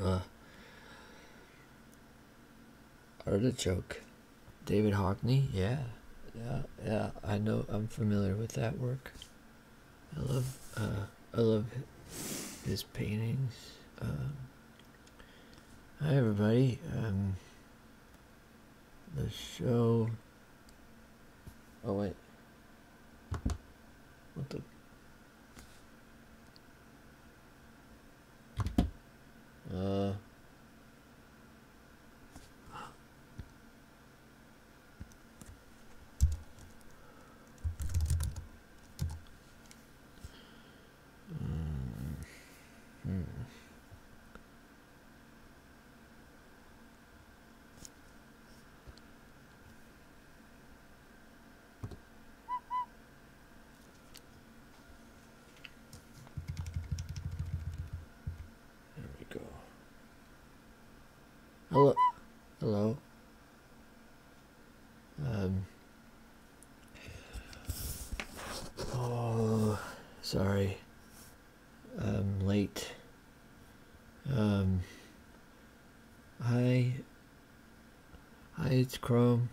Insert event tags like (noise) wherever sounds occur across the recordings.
Uh, artichoke. David Hockney? Yeah. Yeah, yeah. I know I'm familiar with that work. I love uh, I love his paintings. Um, hi everybody. Um, the show Oh wait. What the? Uh. Mm-hmm. There we go. Hello. Hello. Um. Oh, sorry. I'm um, late hi, um, hi, it's Chrome.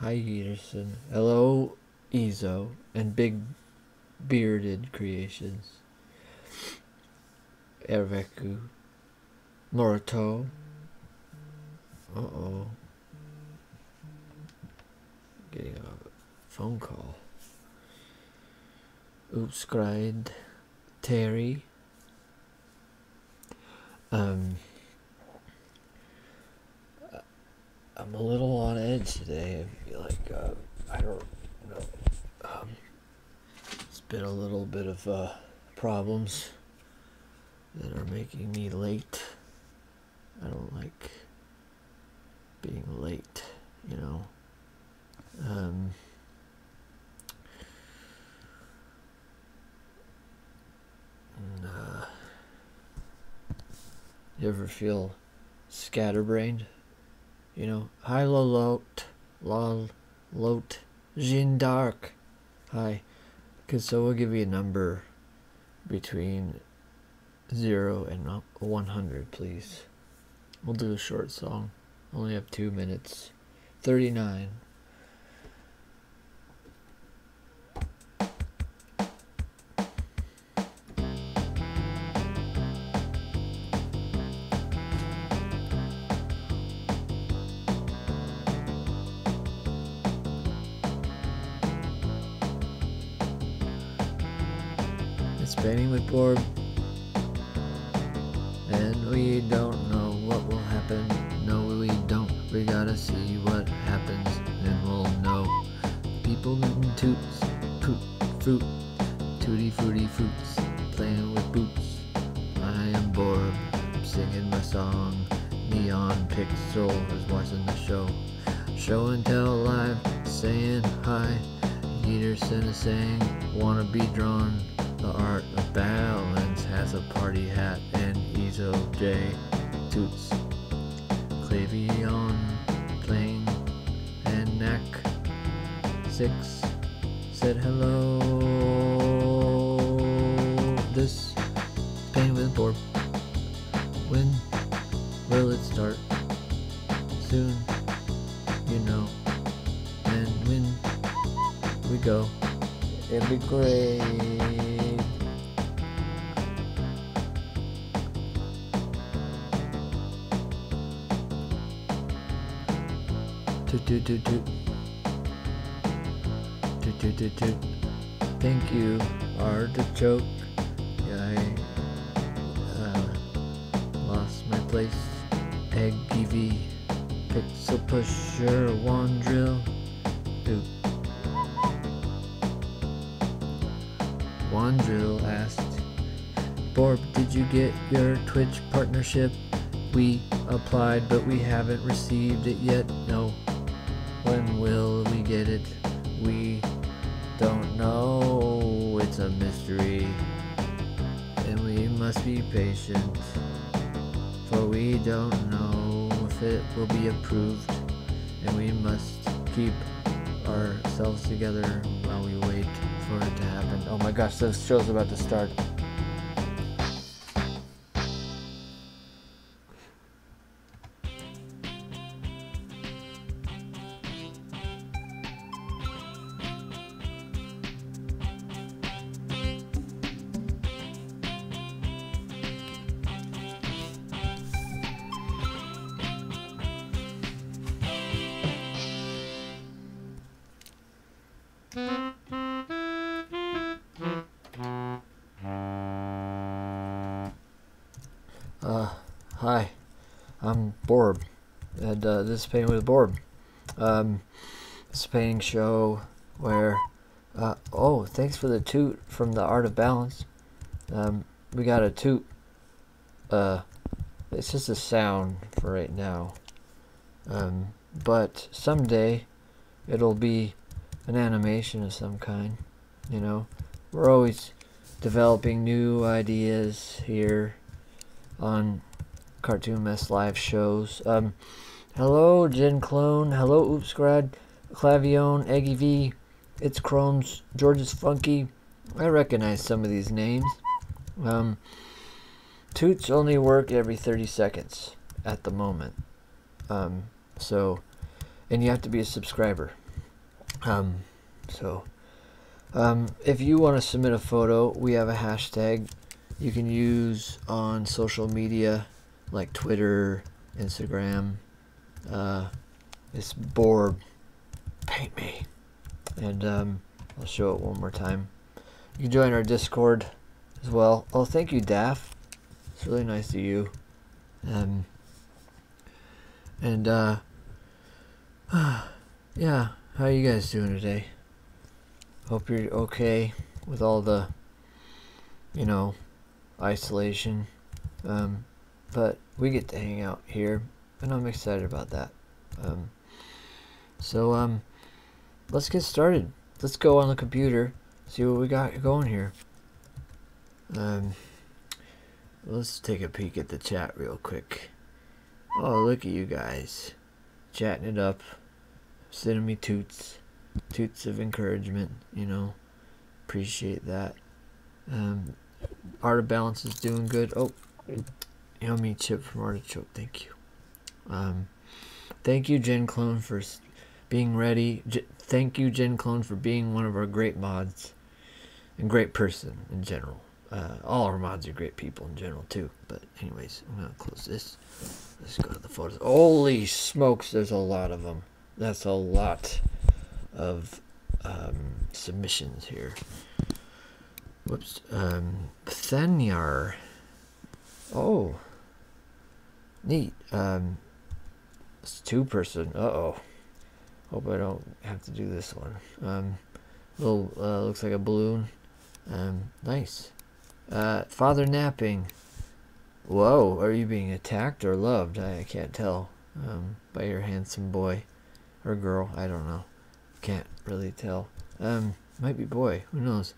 Hi, Peterson. Hello, Ezo, and Big Bearded Creations. Erveku. Naruto. Uh oh. Getting a phone call. Oops, grind. Terry. Um, uh, I'm a little on edge today. I feel like uh, I don't know. Um, it's been a little bit of uh, problems that are making me late. I don't like being late, you know. Do um, you ever feel scatterbrained you know hi low, lol lot Jean d'Arc hi because so we'll give you a number between 0 and 100 please We'll do a short song. Only have two minutes. 39. It's Benny McBorb and we don't know what will happen. No, we don't. We gotta see what happens, then we'll know. People eating toots, poop, fruit, tutti fruity fruits, playing with boots. I am bored, singing my song. Neon Pixel is watching the show. Show and tell live, saying hi. Peterson is saying, wanna be drawn. The art of balance has a party hat and Easel J toots. Clavion playing and neck. Six said hello. This pain with board. When will it start? Soon, you know and win we go it'll be great toot toot toot toot toot toot toot toot thank you artichoke I uh, lost my place egg TV Pixel pusher one drill. Two. One drill asked, Borp, did you get your Twitch partnership? We applied, but we haven't received it yet. No. When will we get it? We don't know. It's a mystery. And we must be patient for we don't know if it will be approved, and we must keep ourselves together while we wait for it to happen. Oh my gosh, this show's about to start. Uh, hi, I'm Borb, and uh, this is Painting with Borb. Um, um, show where uh, oh thanks for the toot from the art of balance um, we got a toot uh, it's just a sound for right now um, but someday it'll be an animation of some kind you know we're always developing new ideas here on Cartoon Mess Live shows. Um, hello, Gen Clone. Hello, Oops Grad. Clavion, Eggy V. It's Chromes. George's Funky. I recognize some of these names. Um, toots only work every 30 seconds at the moment. Um, so, and you have to be a subscriber. so, if you want to submit a photo, we have a hashtag you can use on social media like Twitter, Instagram. Uh, this board paint me, and um, I'll show it one more time. You join our Discord as well. Oh, thank you, Daff. It's really nice to you. and um, and uh, (sighs) yeah, how are you guys doing today? Hope you're okay with all the, you know, isolation. Um, but we get to hang out here, and I'm excited about that. Um, so, um, let's get started. Let's go on the computer, see what we got going here. let's take a peek at the chat real quick. Oh, look at you guys chatting it up, sending me toots, toots of encouragement. You know, appreciate that. Um, Art of Balance is doing good. Oh, you know me, chip from Artichoke. Thank you. Um, thank you, Jen Clone, for being ready. thank you, Jen Clone, for being one of our great mods and great person in general. Uh, all our mods are great people in general too, but anyways, I'm gonna close this. Let's go to the photos. Holy smokes, there's a lot of them. That's a lot of um, submissions here. Whoops. Um, Thanyar. Oh. Neat. Um, it's two person. Uh oh. Hope I don't have to do this one. Um, little uh, looks like a balloon. Um, nice. Uh, father napping. Whoa, are you being attacked or loved? I, can't tell. Um, by your handsome boy or girl, I don't know. Can't really tell. Um, might be boy, who knows?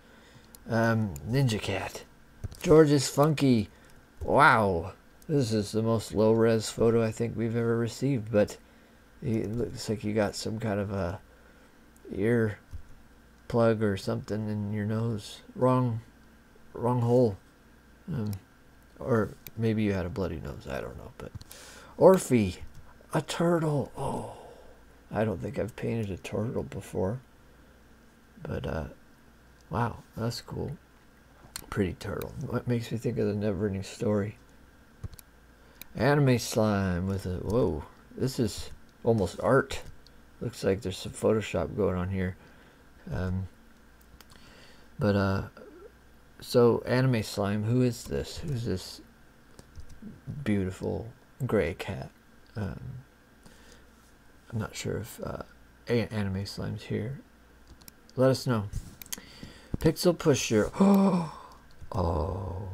Um, ninja Cat. George is funky. Wow. This is the most low res photo I think we've ever received, but it looks like he got some kind of a ear plug or something in your nose. Wrong, wrong hole. Um, or maybe you had a bloody nose. I don't know. But Orphe, a turtle. Oh, I don't think I've painted a turtle before. But uh, wow, that's cool. Pretty turtle. What makes me think of the Neverending Story? Anime slime with a whoa. This is almost art. Looks like there's some Photoshop going on here. Um, but uh, so anime slime. Who is this? Who's this beautiful gray cat? Um, I'm not sure if uh, anime slime's here. Let us know. Pixel pusher. Oh, (gasps) oh.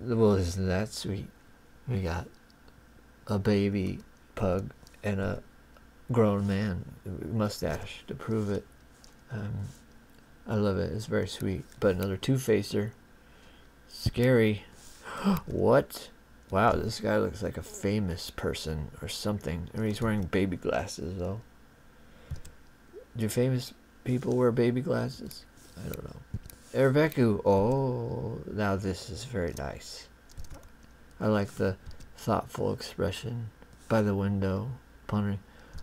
Well, isn't that sweet? We got a baby pug and a grown man mustache to prove it. Um, I love it. It's very sweet. But another two-facer. Scary. (gasps) what? Wow, this guy looks like a famous person or something. I mean, he's wearing baby glasses, though. Do famous people wear baby glasses? I don't know. Erbeku, oh, now this is very nice. I like the thoughtful expression by the window, pondering,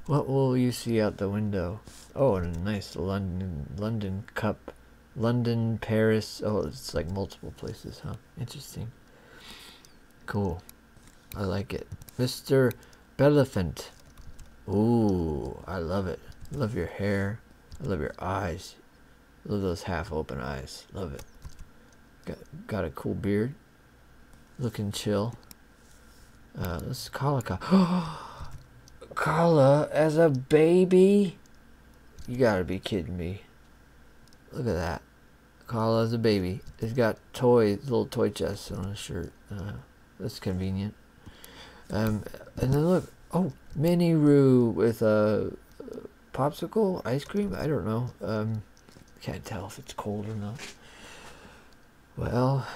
what will you see out the window? Oh, a nice London, London cup, London, Paris. Oh, it's like multiple places, huh? Interesting. Cool. I like it. Mr. Belephant. Ooh, I love it. love your hair. I love your eyes. Look at those half open eyes. Love it. Got got a cool beard. Looking chill. Uh let's call it Carla as a baby? You gotta be kidding me. Look at that. Carla as a baby. it has got toys, little toy chest on his shirt. Uh, that's convenient. Um, and then look, oh, mini roux with a popsicle ice cream. I don't know. Um, can't tell if it's cold or not. Well,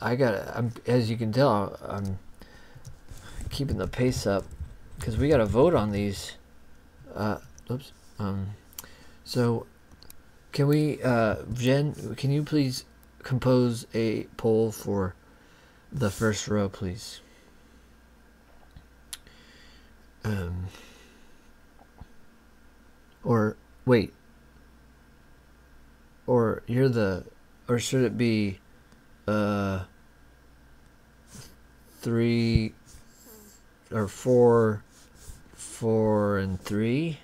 I got. i as you can tell, I'm keeping the pace up because we got to vote on these. Uh, oops. Um, so can we, uh, Jen? Can you please compose a poll for the first row, please. Um, or wait, or you're the, or should it be, uh, three or four, four and three?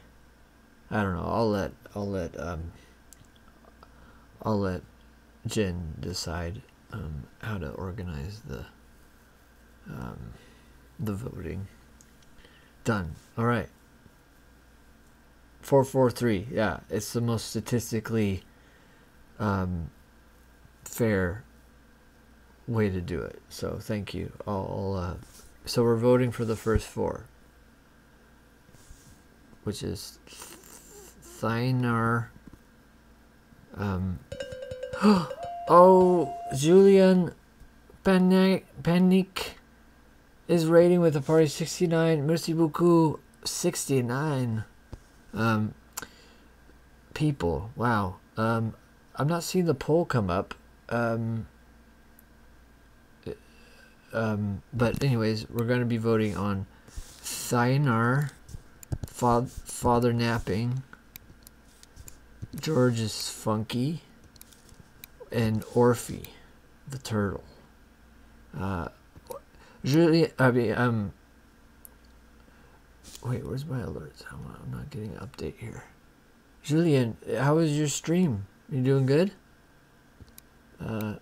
I don't know. I'll let I'll let um, I'll let Jen decide um, how to organize the um, the voting. Done. All right. Four four three. Yeah, it's the most statistically um, fair way to do it. So thank you. All. Uh, so we're voting for the first four which is Thiner. Um, (gasps) oh, Julian Panic is rating with a party 69. Merci beaucoup, 69 um, people. Wow. Um, I'm not seeing the poll come up. Um, but anyways, we're going to be voting on Thaynar, Father Napping, George is Funky, and Orphy, the turtle. Uh, Julie, I mean, um, wait, where's my alerts? I'm not getting an update here. Julian, how was your stream? You doing good? Uh,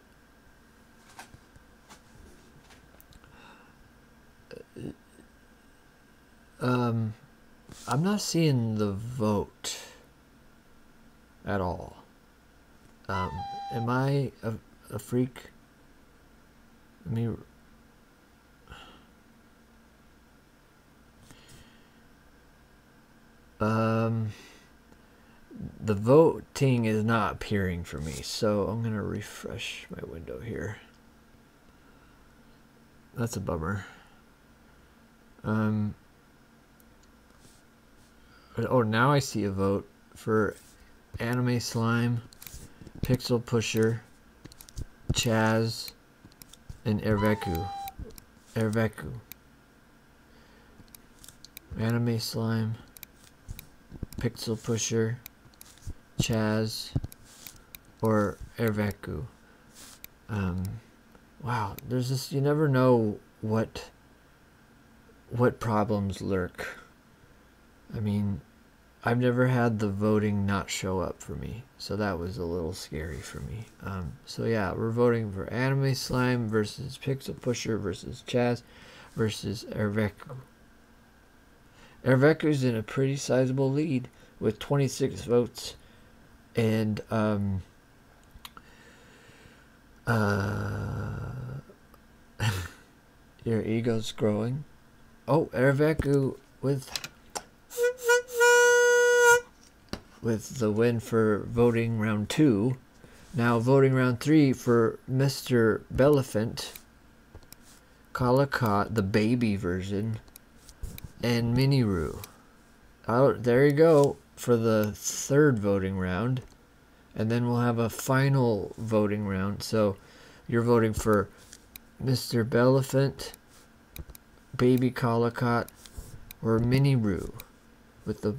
uh, um, I'm not seeing the vote at all. Um, am I a, a freak? Let me. Um, the voting is not appearing for me, so I'm going to refresh my window here. That's a bummer. Um, oh, now I see a vote for Anime Slime, Pixel Pusher, Chaz, and Erveku. Erveku. Anime Slime, Pixel Pusher, Chaz, or Erveku. Um, wow, there's this, you never know what, what problems lurk. I mean, I've never had the voting not show up for me, so that was a little scary for me. Um, so yeah, we're voting for Anime Slime versus Pixel Pusher versus Chaz versus Erveku. Ervecker's in a pretty sizable lead with 26 votes. And um, uh, (laughs) your ego's growing. Oh, Erveku with with the win for voting round two now voting round three for Mr. Belaphant, Kalakot, the baby version, and Miniru. Oh, there you go for the third voting round. And then we'll have a final voting round. So you're voting for Mr. Belaphant, Baby Collicott, or Mini Roo with the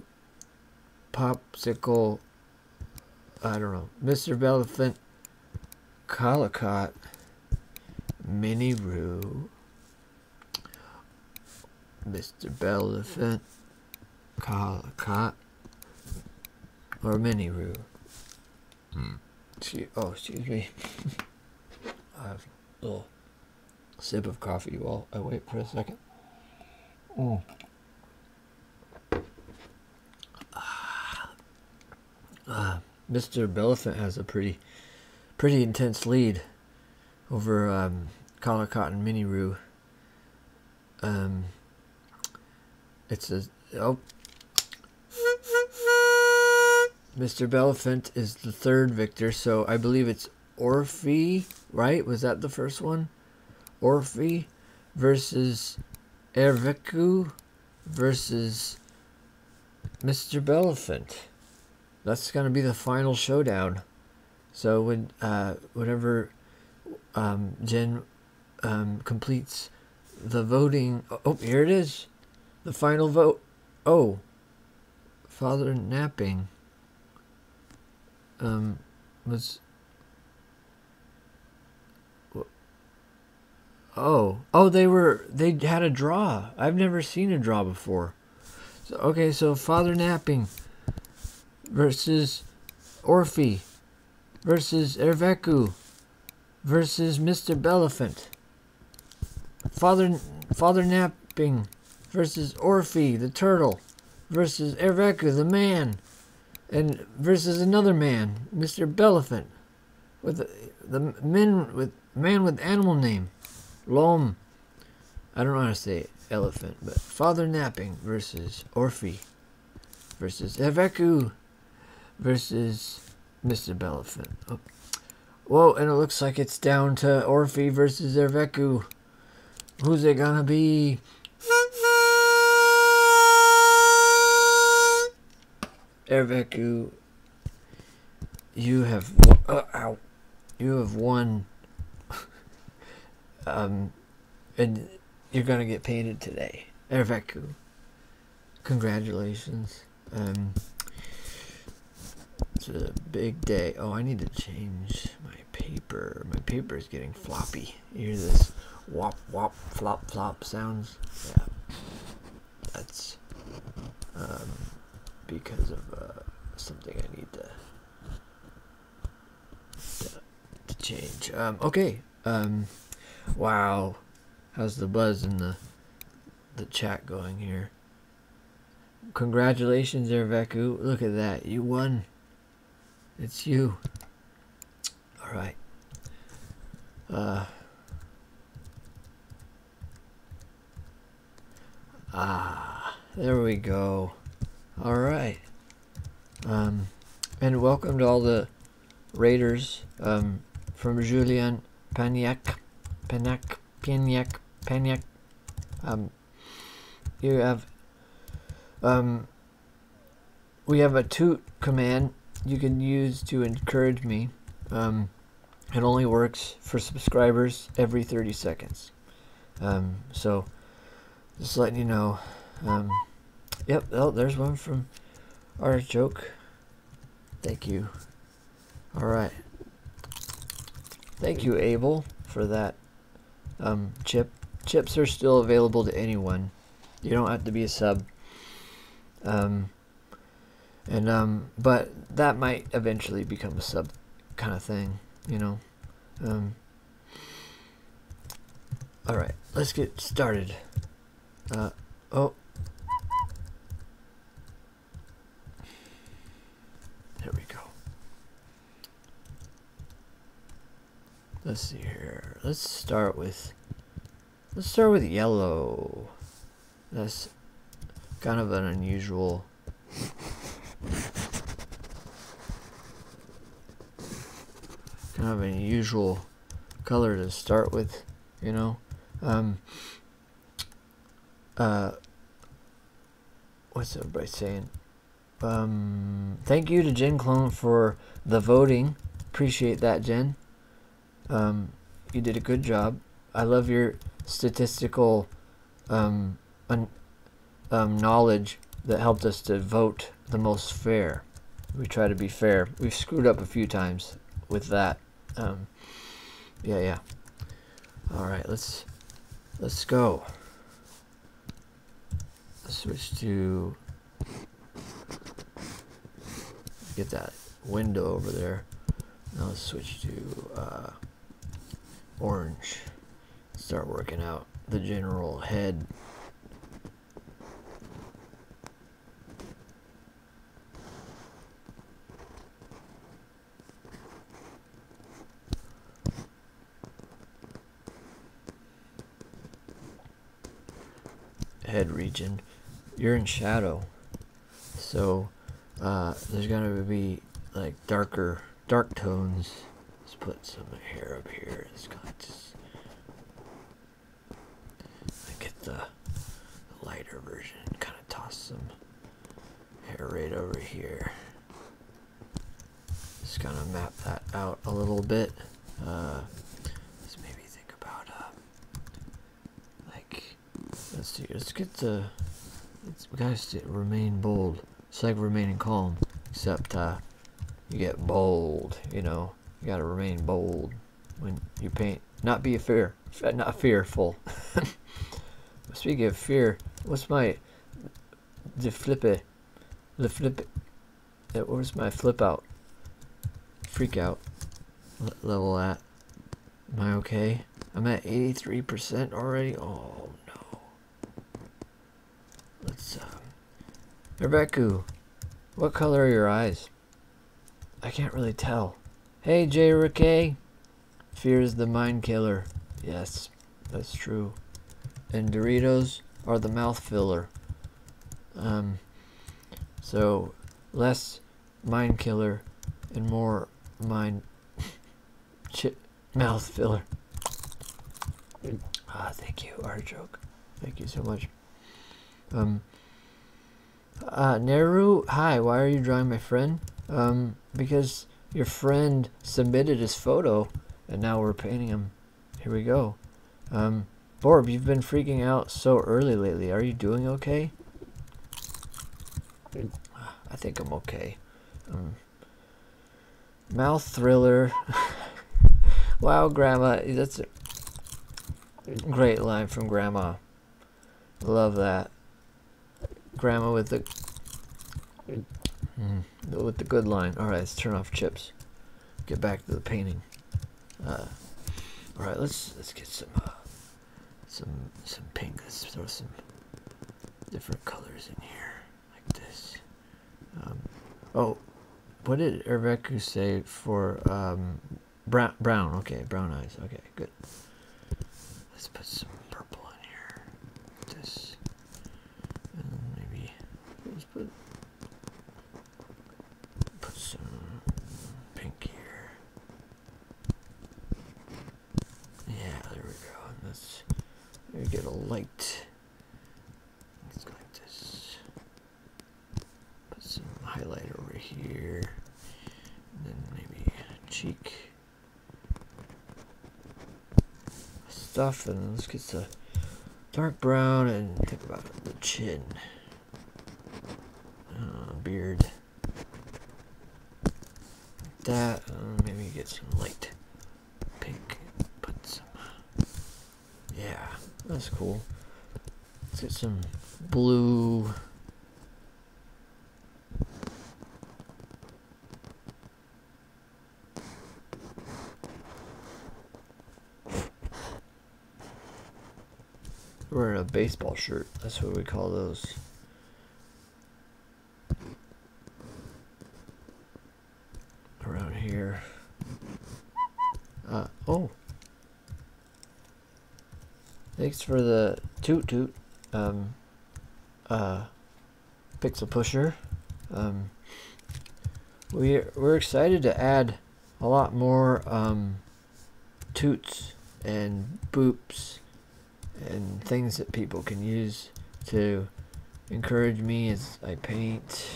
popsicle I don't know, Mr. Belephant, Collicott, Minnie Rue, Mr. Belephant, Collicott, or Minnie hmm. Rue. oh, excuse me. (laughs) I have a little sip of coffee while I wait for a second. Mm. Uh, uh, Mr. Bellafant has a pretty, pretty intense lead over um, Collar Cotton Mini Roo. Um, it's a oh. Mr. Bellafant is the third victor, so I believe it's Orfe right? Was that the first one? Orfe versus Erviku versus Mr. Bellifant. That's going to be the final showdown. So when uh, whatever um, Jen um, completes the voting, oh, oh here it is, the final vote. Oh, Father napping. Um, was Oh, oh, they were they had a draw. I've never seen a draw before. okay, so Father Napping versus Orphe versus Erveku versus Mr. Belephant. Father Father Napping versus Orphe the turtle versus Erveku the man and versus another man, Mr. Bellifant, with the, men with man with animal name, Lom. I don't know how to say elephant, but Father Napping versus Orphe versus Eveku versus Mr. Bellifant. Oh. Whoa, and it looks like it's down to Orphe versus Eveku. Who's it gonna be? Erveku, you have uh, you have won. (laughs) um, and you're gonna get painted today, Erveku. Congratulations. Um, it's a big day. Oh, I need to change my paper. My paper is getting floppy hear this wop wop flop flop sounds? Yeah, that's um, because of uh, something I need to, to, change. Um, okay. Um, wow, how's the buzz in the the chat going here? Congratulations, Erveku. Look at that. You won. It's you. All right. Uh, ah, there we go. All right. Um, and welcome to all the Raiders um, from Julian Paniak. Paniak, Paniak, Paniak. Um, you have um, we have a toot command you can use to encourage me. Um, it only works for subscribers every 30 seconds. Um, so just letting you know. Um, yep, oh, there's one from our joke. Thank you. All right. Thank you, Abel, for that. chip. Chips are still available to anyone. You don't have to be a sub. Um, and um, but that might eventually become a sub kind of thing, you know. Um, all right, let's get started. Uh, oh. There we go let's see here. Let's start with let's start with yellow. That's kind of an unusual kind of an unusual color to start with, you know. Um uh what's everybody saying? Um thank you to Gen Clone for the voting. Appreciate that, Jen. Um, you did a good job. I love your statistical um, um, knowledge that helped us to vote the most fair. We try to be fair. We've screwed up a few times with that. yeah, yeah. All right, let's let's go switch to get that window over there. Now let's switch to uh, orange. Start working out the general head head region, you're in shadow. So uh, there's gonna be like darker, dark tones. Let's put some hair up here. It's got just I get the, the lighter version. Kind of toss some hair right over here. Just gonna map that out a little bit let's uh, maybe think about uh, like let's see. Let's get the let we gotta remain bold. It's like remaining calm, except uh, you get bold. You know, you gotta remain bold when you paint. Not be a fear, not fearful. (laughs) Speaking of fear, what's my the it, the it. Yeah, where's my flip out? Freak out. What level at? Am I okay? I'm at 83% already? Oh no. Let's, um. Rebeku, what color are your eyes? I can't really tell. Hey, J. Rickey. Fear is the mind killer. Yes, that's true. And Doritos are the mouth filler. Um, so less mind killer and more mind mouth filler. Ah, thank you, Artichoke. Thank you so much. Um. Uh, Neru, hi. Why are you drawing my friend? Um, because your friend submitted his photo, and now we're painting him. Here we go. Um, Borb, you've been freaking out so early lately. Are you doing okay? I think I'm okay. Um, mouth thriller. (laughs) wow, Grandma. That's a great line from Grandma. Love that. Grandma with the mm, with the good line. All right, let's turn off chips. Get back to the painting. Uh, all right, let's let's get some uh, some some pink. Let's throw some different colors in here like this. Um, oh, what did Erbeku say for um, brown? Brown, okay, brown eyes. Okay, good. Let's put some purple in here. this and maybe let's put Put some pink here. Yeah, there we go. Let's get a light. Let's go like this. Put some highlighter over here. And then maybe cheek stuff. And let's get some dark brown and think about the chin. Uh, beard. Like that uh, maybe get some light pink. Put some. Yeah, that's cool. Let's get some blue. Wearing a baseball shirt. That's what we call those. Around here. Uh, oh. Thanks for the toot toot. Um, uh, Pixel Pusher. Um, we, we're excited to add a lot more um, toots and boops and things that people can use to encourage me as I paint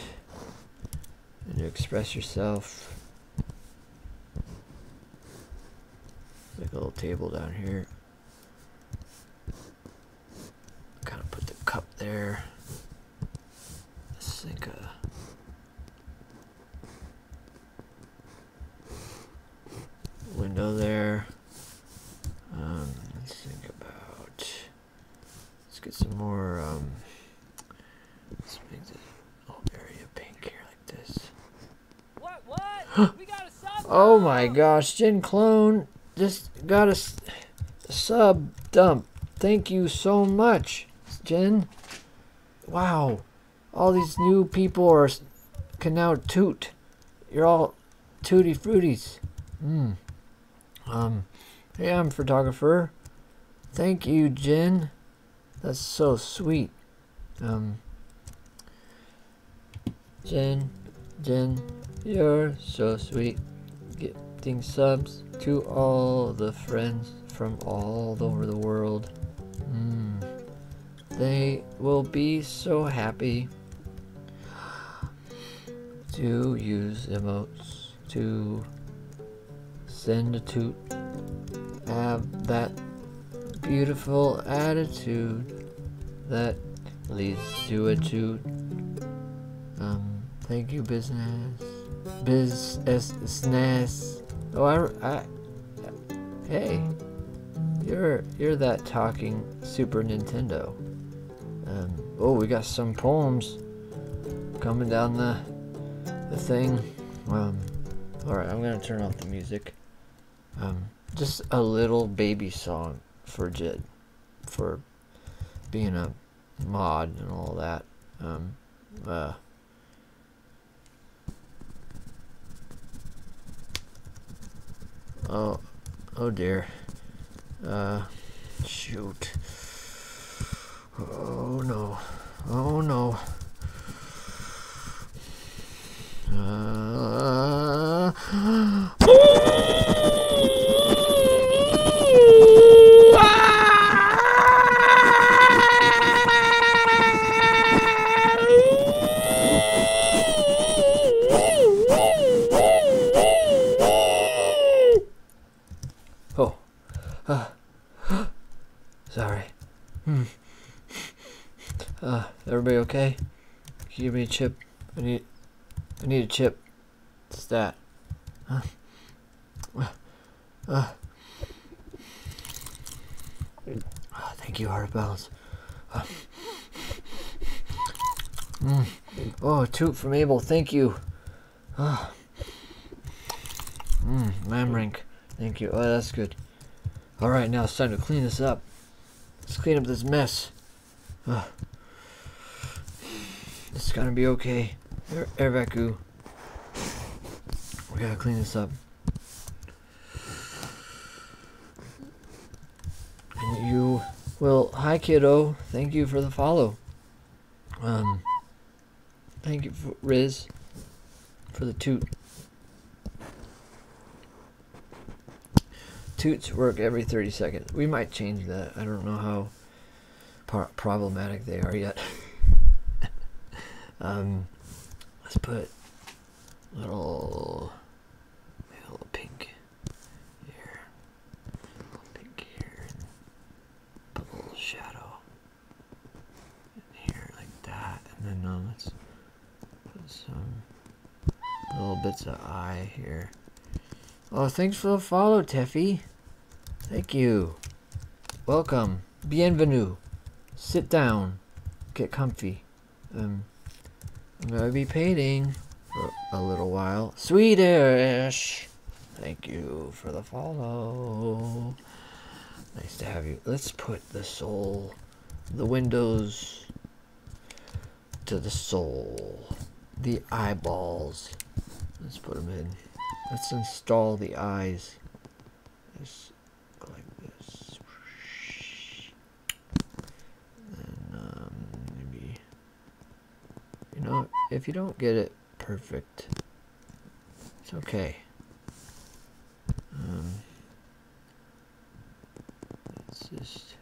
and to express yourself. Make a little table down here. Kind of put the cup there. Let's think. Uh, window there. Um, let's think about. Let's get some more. Um, let's make the whole area pink here like this. What? What? (gasps) we got a sub. Oh my gosh, Gen Clone just got a, a sub dump. Thank you so much, Jen. Wow. All these new people are can now toot. You're all tooty fruities. Mm. Um, hey, I'm photographer. Thank you, Jen. That's so sweet. Um, Jen, Jen, you're so sweet. Gifting subs to all the friends from all over the world. Hmm. They will be so happy to use emotes to send a toot. Have that beautiful attitude that leads to a toot. Um, thank you, business. Biz Oh, I, Hey, you're you're that talking Super Nintendo. Um, oh, we got some poems coming down the the thing. Um, all right, I'm gonna turn off the music. Um, just a little baby song for Jid, for being a mod and all that. Uh, Oh, oh dear. Uh, shoot. Oh no. Oh no. Uh, (gasps) (laughs) (laughs) Oh. Uh. (gasps) Sorry. Hmm. Uh, everybody okay? Give me a chip. I need I need a chip. It's that. Huh? Uh, thank you, Heart of ah. mm. oh, a toot from Abel, thank you. Uh, mm, thank you. Oh, that's good. All right, now it's time to clean this up. Let's clean up this mess. Uh, it's gonna be okay. air vacu. We gotta clean this up. And you well, hi kiddo. Thank you for the follow. Um, thank you, for, Riz, for the toot. Toots work every 30 seconds. We might change that. I don't know how problematic they are yet. (laughs) um, Let's put little little pink here. little pink here. Put a little shadow in here like that. And then um, let's put some little bits of eye here. Oh, thanks for the follow, Teffy. Thank you. Welcome bienvenue. Sit down. Get comfy. Um, I'm gonna be painting for a little while. Swedish! Thank you for the follow. Nice to have you. Let's put the soul, the windows to the soul, the eyeballs. Let's put them in. Let's install the eyes like this, and um, maybe, you know, if you don't get it perfect, it's okay. Um, let's just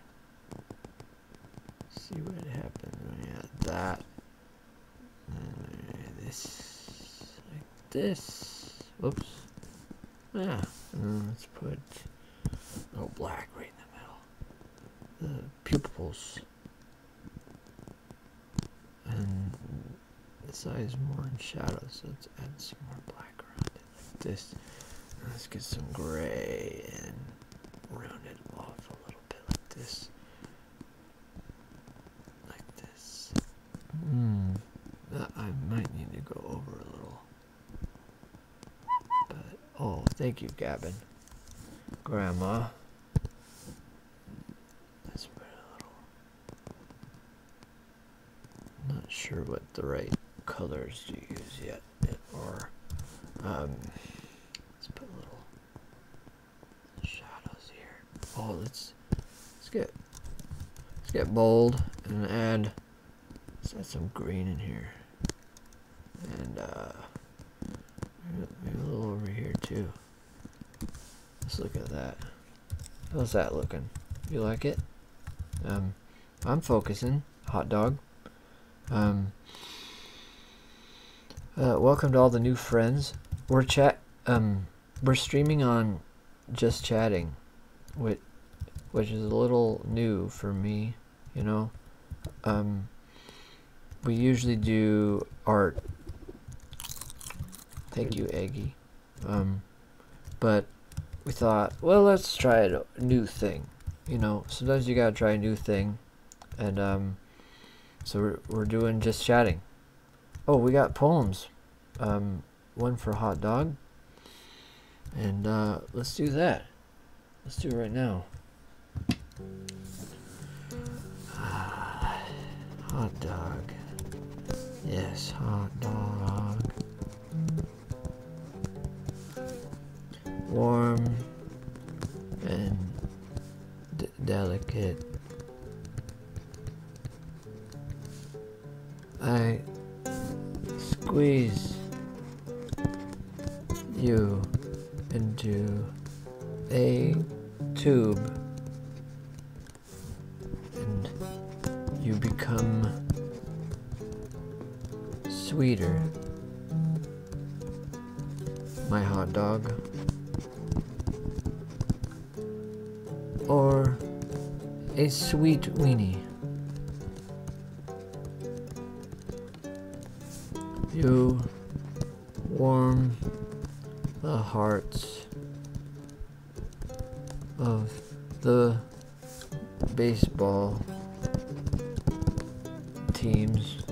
see what happens when that. this this. Oops. Yeah. Mm, let's put no oh, black right in the middle. The pupils. And this eye is more in shadow, so let's add some more black around it like this. let's get some gray and round it off a little bit like this like this. Mm. I might need to go over a little. But oh, thank you, Gavin, Grandma. Let's put a little. not sure what the right colors to use yet, or um, let's put a little shadows here. Oh, let Let's get let's get bold and add let's add some green in here. And uh maybe a little over here too. Let's look at that. How's that looking? You like it? Um I'm focusing. Hot dog. Um uh, welcome to all the new friends. We're chat um we're streaming on just chatting, which which is a little new for me, you know. Um, we usually do art. Thank you, Eggy. Um, but we thought, well, let's try a new thing. You know, sometimes you gotta try a new thing, and um, so we're we're doing just chatting. Oh, we got poems. Um, one for a hot dog. And uh, let's do that. Let's do it right now. (sighs) hot dog. Yes, hot dog. Warm and delicate. I squeeze you into a tube and you become sweeter. My hot dog or a sweet weenie. You warm the hearts of the baseball teams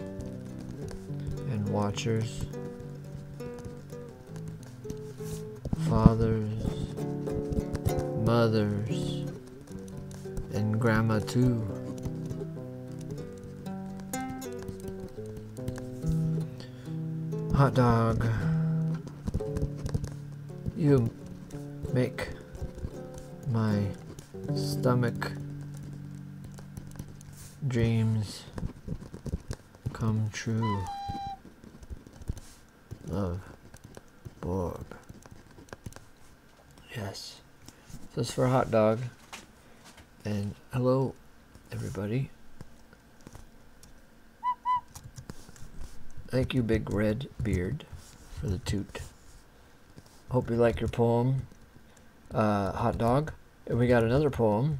and watchers fathers, mothers, and grandma too. Hot dog, you make my stomach dreams come true. Love, oh. Bob. Yes. This it's for a hot dog. And hello, everybody. Thank you, Big Red Beard, for the toot. Hope you like your poem, uh, Hot Dog. And we got another poem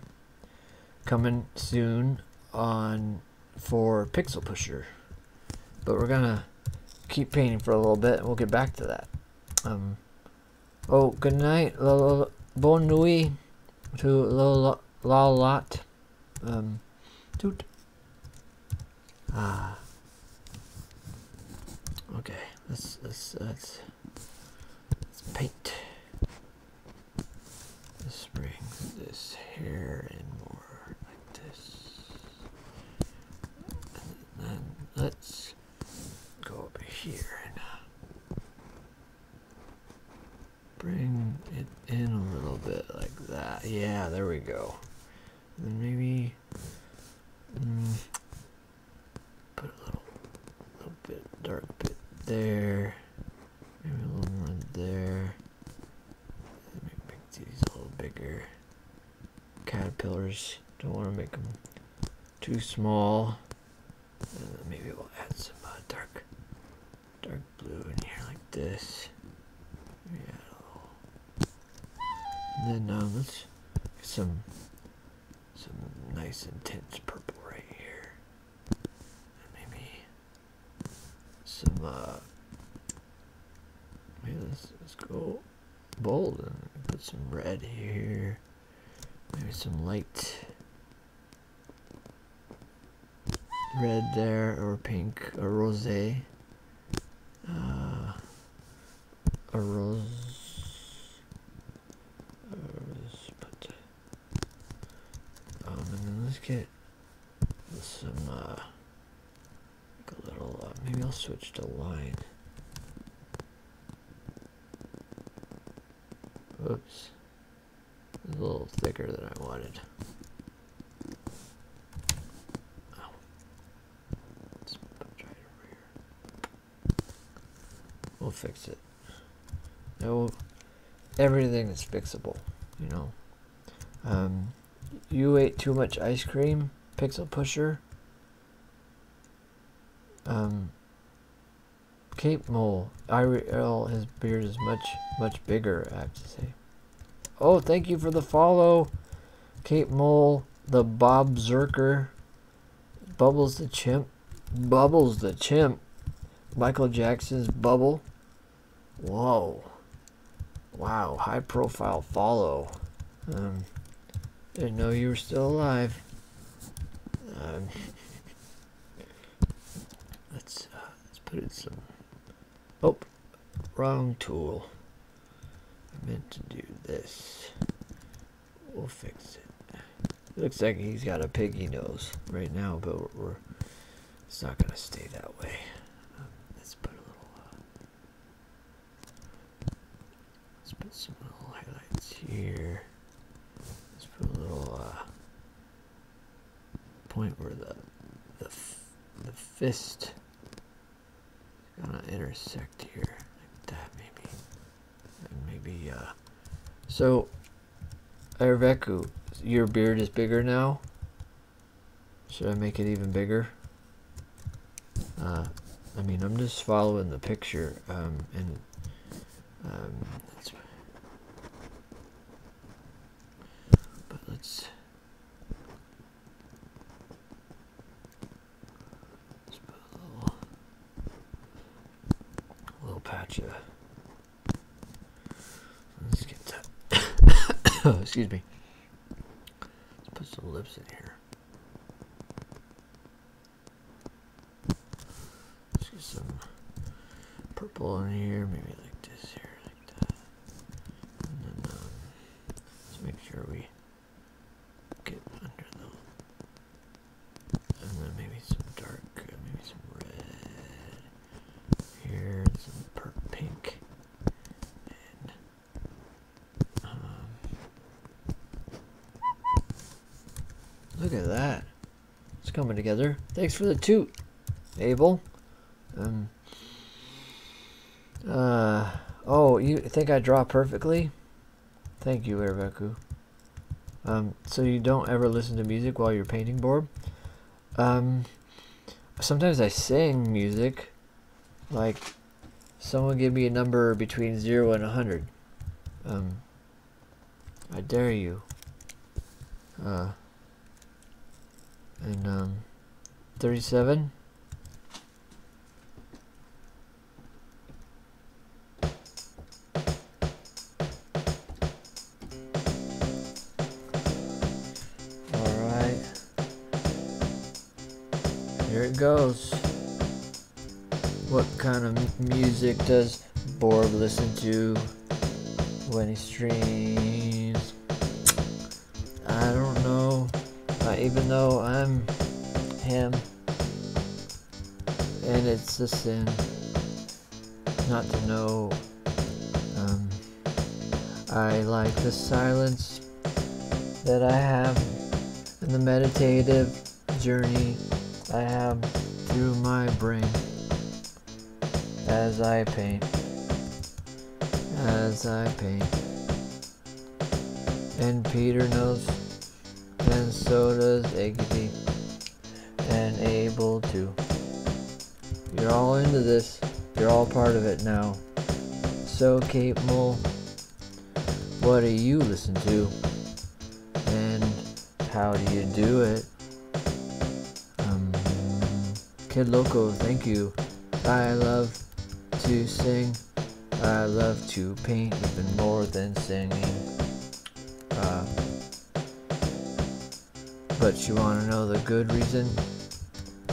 coming soon on for Pixel Pusher. But we're gonna keep painting for a little bit and we'll get back to that. Um, oh, good night. L bon nuit to Lolot. La um, toot. Ah. Okay, let's, let's, let's, let's paint. This brings this hair in more like this. And then let's go up here and uh, bring it in a little bit like that. Yeah, there we go. then maybe mm, put a little, little bit dark bit there. Maybe a little more there make these a little bigger. Caterpillars. Don't want to make them too small. Uh, maybe we'll add some uh, dark, dark blue in here like this. Yeah. then uh, let's get some, some nice intense purple right here. Maybe some uh maybe let's, let's go bold and put some red here. Maybe some light red there or pink or rose. Uh, a rose. A rose put. Um, and then let's get some uh, like a little uh, maybe I'll switch to line. Oops, a little thicker than I wanted. Oh, let's put it right over here. We'll fix it. No, everything is fixable, you know. Um, you ate too much ice cream, Pixel Pusher. Um, cape Mole, IRL, his beard is much, much bigger, I have to say. Oh, thank you for the follow, Cape Mole, the Bobzerker, Bubbles the Chimp, Bubbles the Chimp, Michael Jackson's Bubble, Whoa. Wow, high profile follow. Um, didn't know you were still alive. Um, let's, uh, let's put in some... Oh, wrong tool. I meant to do this. We'll fix it. looks like he's got a piggy nose right now, but we're it's not going to stay that way let's put a little, uh, let's put some little highlights here. Let's put a little uh, point where the the the fist is gonna intersect here, like that maybe, and maybe uh. So, Erveku, your beard is bigger now. Should I make it even bigger? Uh, I mean, I'm just following the picture, um, and um, but let's let put a little patch of Let's get that. (coughs) Excuse me. Let's put some lips in here. Let's get some purple in here, maybe like this here, like that. And then um, let's make sure we get under the, and then maybe some dark, maybe some red here, some purple pink. Um, look at that. It's coming together. Thanks for the toot, Abel. Um, uh, oh, you think I draw perfectly? Thank you, Erebeku. Um, so you don't ever listen to music while you're painting, Borb? Um, sometimes I sing music, like someone give me a number between zero and a hundred. Um, I dare you. Uh, and um, thirty-seven. All right. Here it goes. What kind of music does Borb listen to when he streams? I don't know. even though I'm him, and it's a sin not to know um, I like the silence that I have and the meditative journey I have through my brain as I paint, as I paint. And Peter knows, and so does Aggie, and Abel too. You're all into this. You're all part of it now. So, Kate Mull, what do you listen to? And how do you do it? Um, Kid Loco, thank you. I love to sing. I love to paint even more than singing. Um, but you want to know the good reason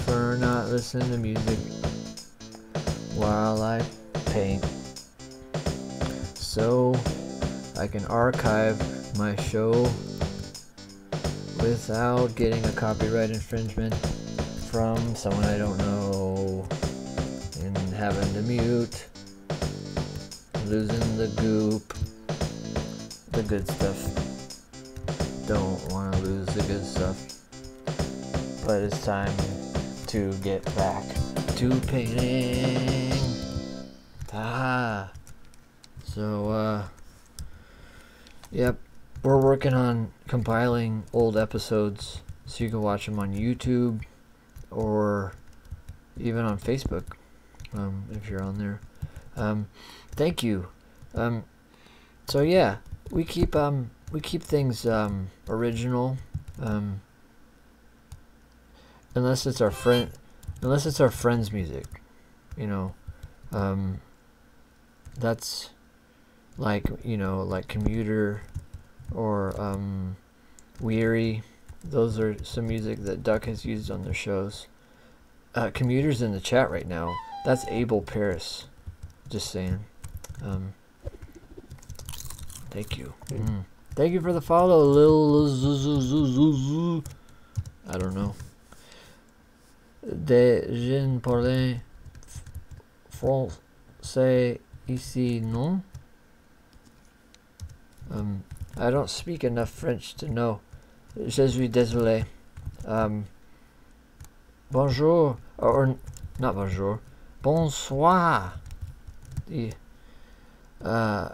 for not listening to music while I paint. So I can archive my show without getting a copyright infringement from someone I don't know and having to mute, losing the goop, the good stuff. Don't want to lose the good stuff. But it's time to get back to painting. Ah. So, uh, yep, we're working on compiling old episodes so you can watch them on YouTube or even on Facebook um, if you're on there. Um, thank you. Um, so yeah, we keep um we keep things um, original um, unless it's our friend unless it's our friends music, you know. Um, that's like, you know, like commuter or um weary. Those are some music that Duck has used on their shows uh, commuters in the chat right now. That's Abel Paris. Just saying. Um, thank you. Mm. Thank you for the follow, Lil. I don't know. De Jean Parlin Français ici, non? Um, I don't speak enough French to know. Je suis désolé. Um, Bonjour, or, or not bonjour, bonsoir. The uh,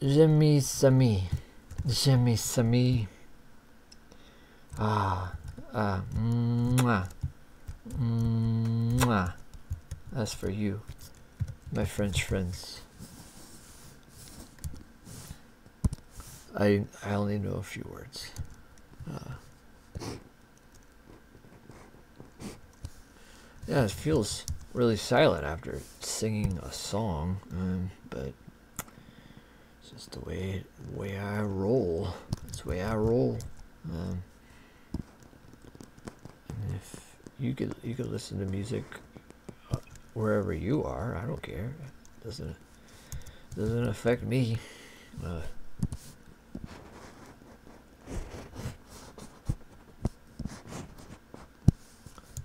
Jimmy Sami, Jimmy Sami. Ah, uh, mwah, mwah. That's for you, my French friends. I I only know a few words. Uh, yeah, it feels really silent after singing a song, um, but it's just the way way I roll. It's the way I roll. Um, if you could you could listen to music uh, wherever you are, I don't care. doesn't it? Doesn't affect me. Uh.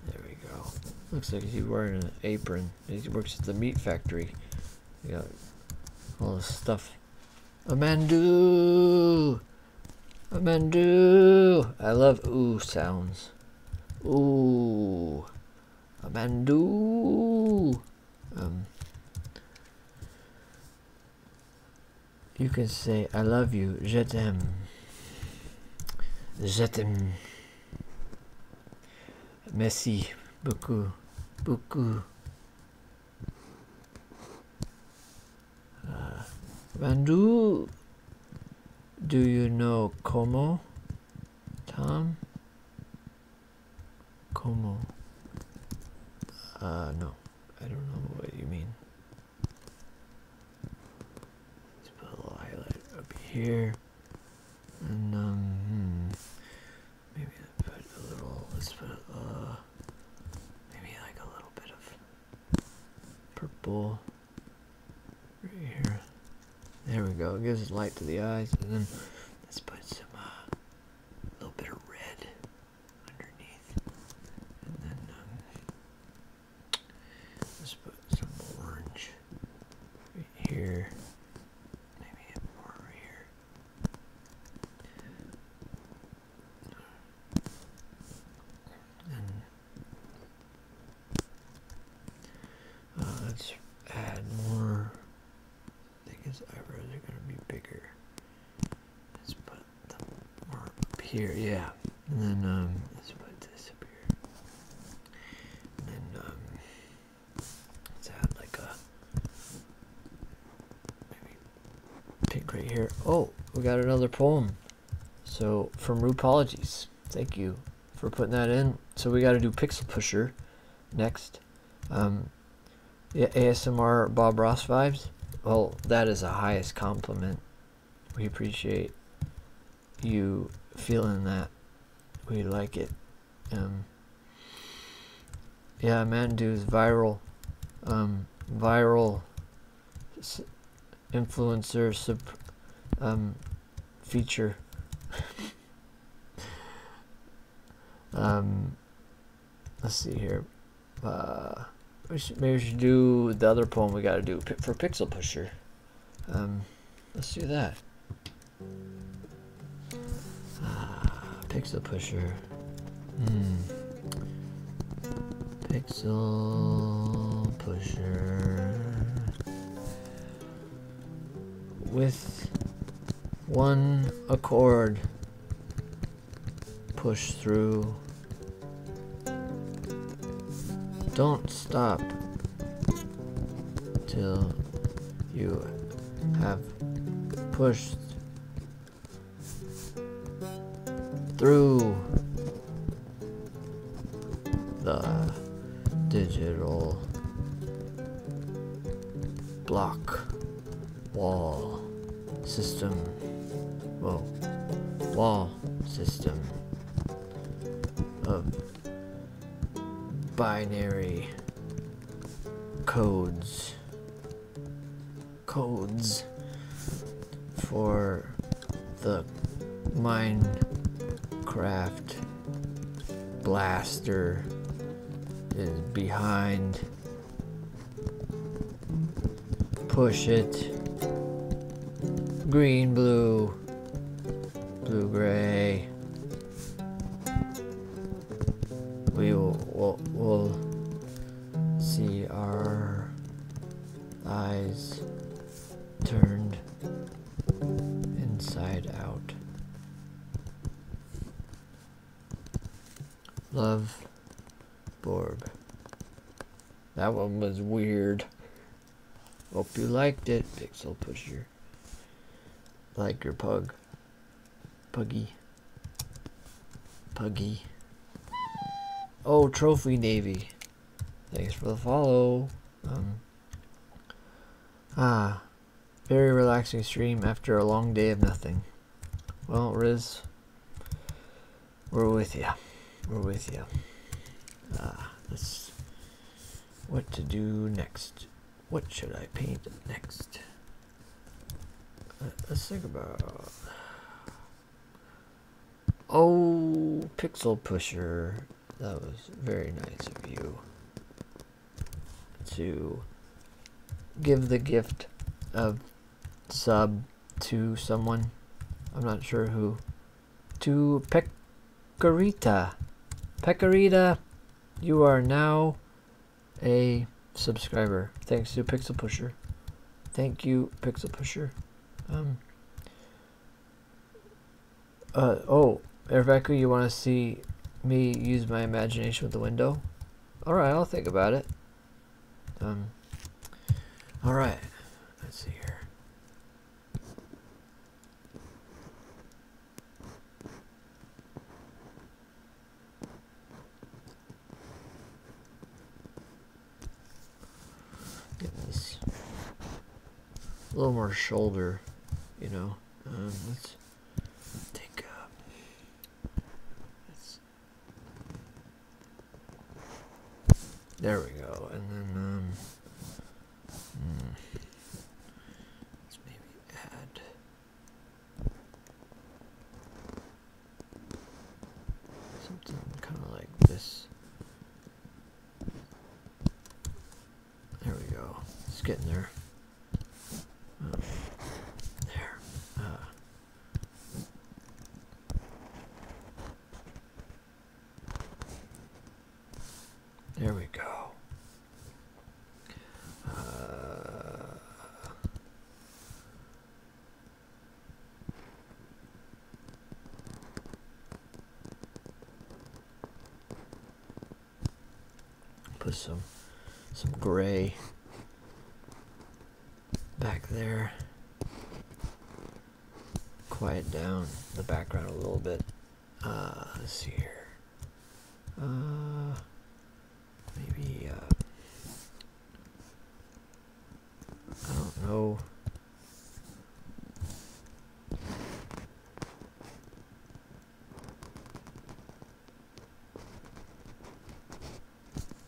there we go. Looks like he's wearing an apron. He works at the meat factory. Yeah, all this stuff. A Amandu! Amandu! I love ooh sounds. Ooh. Abandu. Um, you can say I love you, je t'aime, je t'aime. Merci beaucoup, beaucoup. Uh, do you know como? Tom Como. Uh, no, I don't know what you mean. Let's put a little highlight up here. And, um, hmm. maybe put a little, let's put, uh, maybe like a little bit of purple right here. There we go. It gives us light to the eyes, and then let's put some uh, a little bit of red underneath, and then um, let's put some orange right here. Maybe more over here. And uh, let's add more. I think his eyebrows are gonna be bigger. Let's put them more here, yeah. And then um, let this up here. And um, let's add like a maybe pink right here. Oh, we got another poem. So from Rupologies, thank you for putting that in. So we got to do Pixel Pusher next. Um, ASMR Bob Ross vibes. Well, that is a highest compliment. We appreciate you feeling that. We like it. Um, yeah, Mandu is viral, um, viral influencer sub, um, feature. (laughs) um, let's see here. Uh, we should, maybe we should do the other poem we got to do for Pixel Pusher. Um, let's do that. Ah, Pixel Pusher. Hmm. Pixel Pusher with one accord push through don't stop till you have pushed through the digital block wall system whoa wall system of uh, binary codes codes for the Minecraft blaster is behind. Push it. Green, blue, blue, gray. We will see our eyes turned inside out. Love Borb. That one was weird. Hope you liked it, Pixel Pusher. Like your pug. Puggy. Puggy. Oh, Trophy Navy. Thanks for the follow. Ah, very relaxing stream after a long day of nothing. Well, Riz, we're with you. We're with you. Ah, this. What to do next? What should I paint next? Let's think about. Oh, Pixel Pusher. That was very nice of you to give the gift of sub to someone. I'm not sure who. To Pecorita. Pecorita, you are now a subscriber. Thanks to Pixel Pusher. Thank you, Pixel Pusher. Um, uh, oh, Rebecca, you want to see me use my imagination with the window? Alright, I'll think about it. Um, Alright, let's see here. Get this a little more shoulder, you know. Um, let's. Take uh, there we go, and then um, hmm. let's maybe add. Something kind of like this. There we go. It's getting there. there. Uh. there we go. Uh. Put some some gray back there. Quiet down the background a little bit. Uh, let here. Uh, maybe uh, I don't know.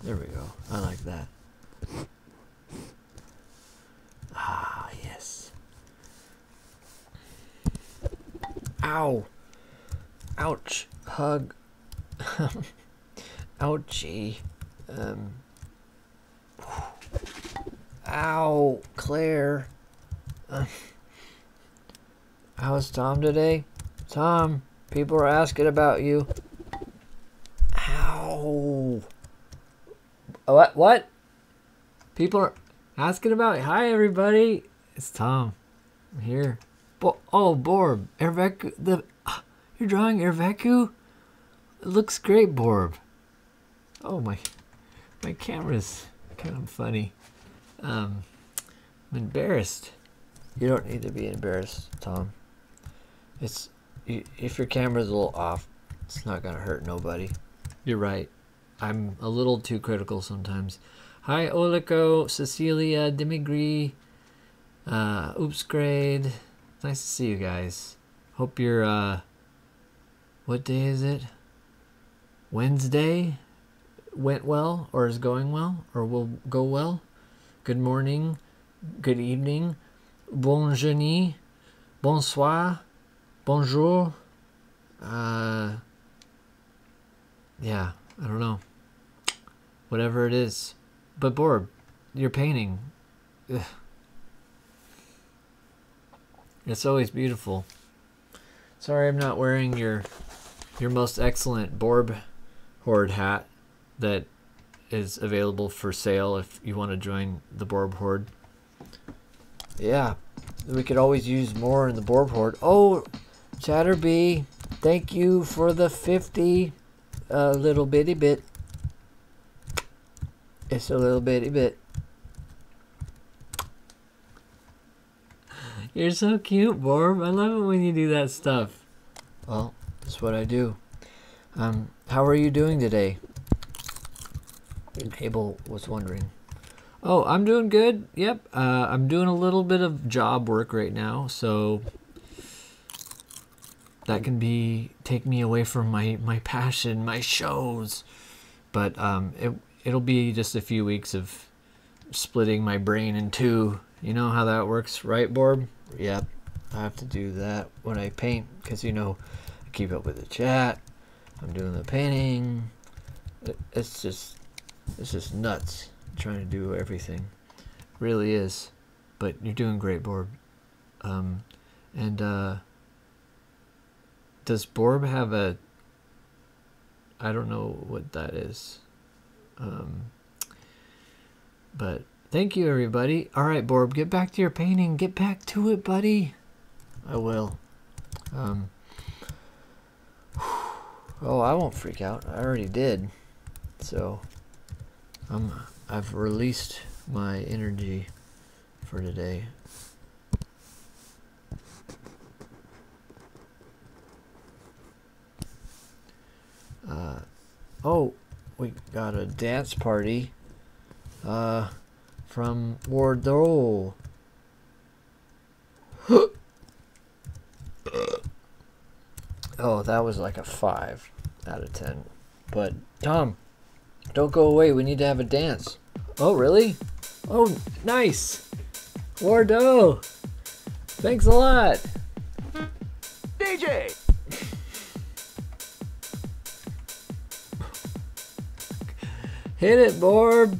There we go. I like that. Ah, yes. Ow. Ouch. Hug. (laughs) Ouchie. Um. Ow, Claire. How's Tom today? Tom, people are asking about you. Ow. Uh, what? What? People are asking about Hi, everybody. It's Tom. I'm here. oh, Borb. Erveku. The, (gasps) you're drawing Erveku? It looks great, Borb. Oh, my. My camera's kind of funny. Um, I'm embarrassed. You don't need to be embarrassed, Tom. It's if your camera's a little off, it's not gonna hurt nobody. You're right. I'm a little too critical sometimes. Hi, Olico, Cecilia, Demigree, uh, Oops, grade. Nice to see you guys. Hope you're, uh, what day is it? Wednesday went well or is going well or will go well. Good morning, good evening, bonjour, bonsoir, bonjour. Uh, yeah, I don't know. Whatever it is. But Borb, your painting. It's always beautiful. Sorry, I'm not wearing your your most excellent Borb Horde hat that is available for sale if you want to join the Borb Horde. Yeah, we could always use more in the Borb Horde. Oh, Chatterbee, thank you for the 50 uh, little bitty bit. It's a little bitty bit. (laughs) You're so cute, Borb. I love it when you do that stuff. Well, that's what I do. Um, how are you doing today? Abel was wondering. Oh, I'm doing good. Yep, uh, I'm doing a little bit of job work right now, so that can be take me away from my my passion, my shows. But um, it it'll be just a few weeks of splitting my brain in two. You know how that works, right, Borb? Yep, I have to do that when I paint because, you know, I keep up with the chat. I'm doing the painting. It's just, it's just nuts trying to do everything. Really is. But you're doing great, Borb. Um, and, uh, does Borb have a I don't know what that is. Um, but thank you, everybody. All right, Borb, get back to your painting. Get back to it, buddy. I will. Um, oh, I won't freak out. I already did. So, I'm, I've released my energy for today. Uh, oh, we got a dance party uh, from Wardole. (gasps) oh, that was like a 5 out of 10. But, Tom, don't go away. We need to have a dance. Oh, really? Oh, nice. Wardole. Thanks a lot. DJ. Hit it, Borb.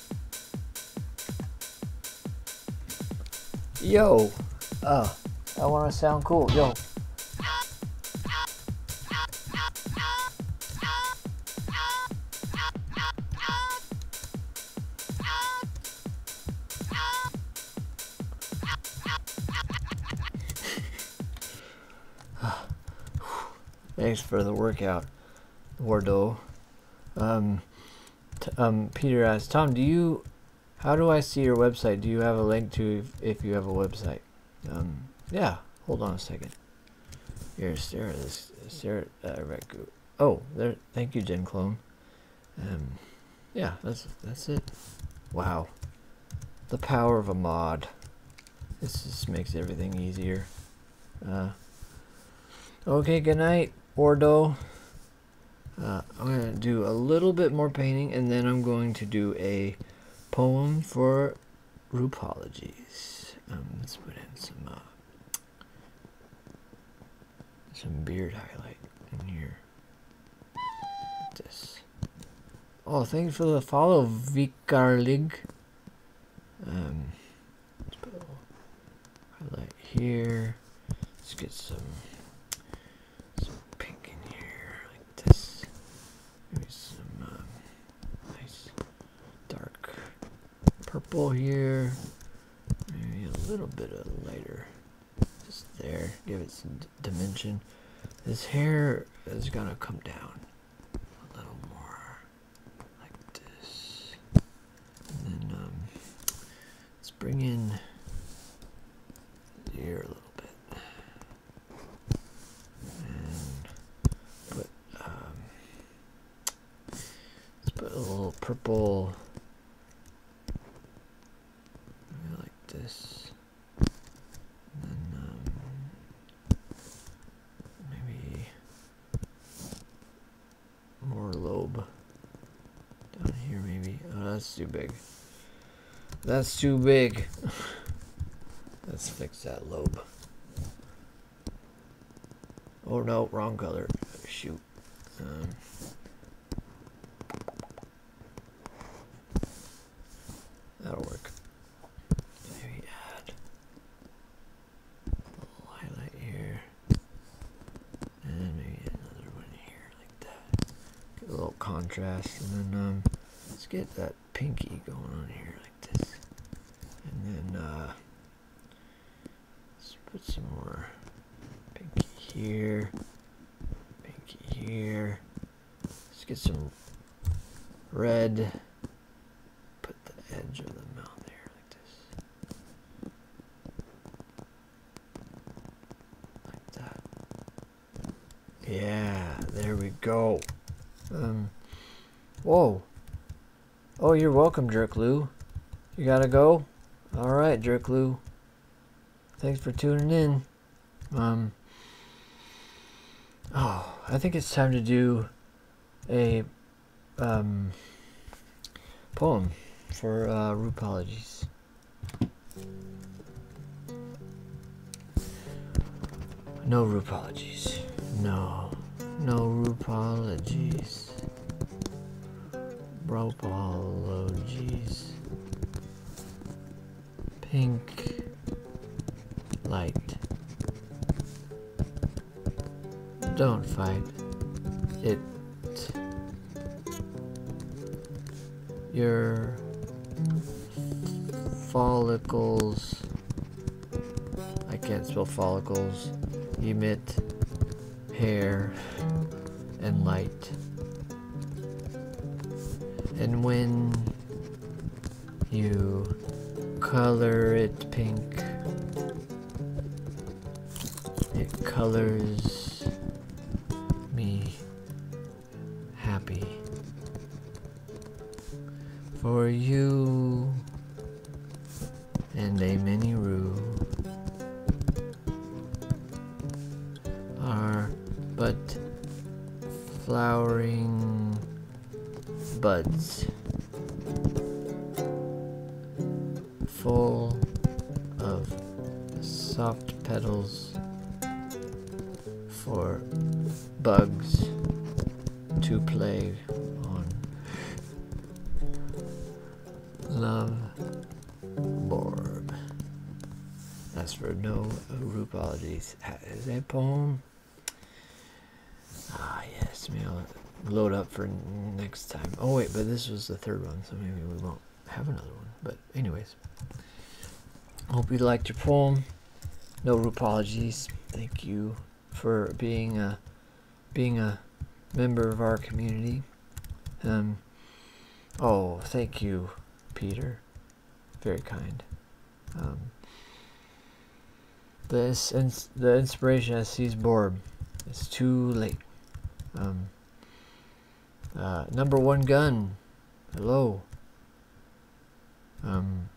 Yo, uh, I want to sound cool. Yo. (sighs) Ah, Thanks for the workout, Wardo. Um, um, Peter asks, Tom, do you, how do I see your website? Do you have a link to if, you have a website? Um, yeah, hold on a second. Here, Sarah, this, Sarah, uh, Oh, there, thank you, Gen Clone. Um, yeah, that's, that's it. Wow. The power of a mod. This just makes everything easier. Uh, okay, good night, Ordo. Uh, I'm going to do a little bit more painting, and then I'm going to do a poem for Rupologies. Um, let's put in some, uh, some beard highlight in here. this. Oh, thanks for the follow, Vikarlig. Um, Let's highlight here. Let's get some some pink in here like this. Maybe some um, nice dark purple here. Maybe a little bit of lighter just there. Give it some dimension. This hair is gonna come down a little more like this. And then um, let's bring in here a little bit. And put um, let's put a little purple like this. And then um, maybe more lobe down here maybe oh that's too big that's too big (laughs) let's fix that lobe oh no wrong color shoot um, that'll work maybe add little highlight here, and maybe another one here like that. Get a little contrast, and then um, let's get that pinky going on here like this, and then uh, let's put some more pinky here, pinky here. Let's get some red. Put the edge of the mouth there yeah, there we go. Um Whoa. Oh you're welcome, Jerk Lou. You gotta go? Alright, Jerk Lou. Thanks for tuning in. Um Oh, I think it's time to do a um, poem for uh, Rupologies. No Rupologies. No. No Rupologies. Ropologies. Pink light. Don't fight it. Your follicles. I can't spell follicles. Emit hair and light. And when you color it pink, it colors me happy. For you and a mini rue are but flowering buds full of soft petals for bugs to play on. Love Borb. That's for no is that a poem. Ah, yes, male load up for next time. Oh wait, but this was the third one, so maybe we won't have another one. But anyways, hope you liked your poem. No apologies. Thank you for being a being a member of our community. Um. Oh, thank you, Peter. Very kind. Um, the, ins the inspiration I seized Borb. It's too late. Um, uh, number one gun, hello. Um,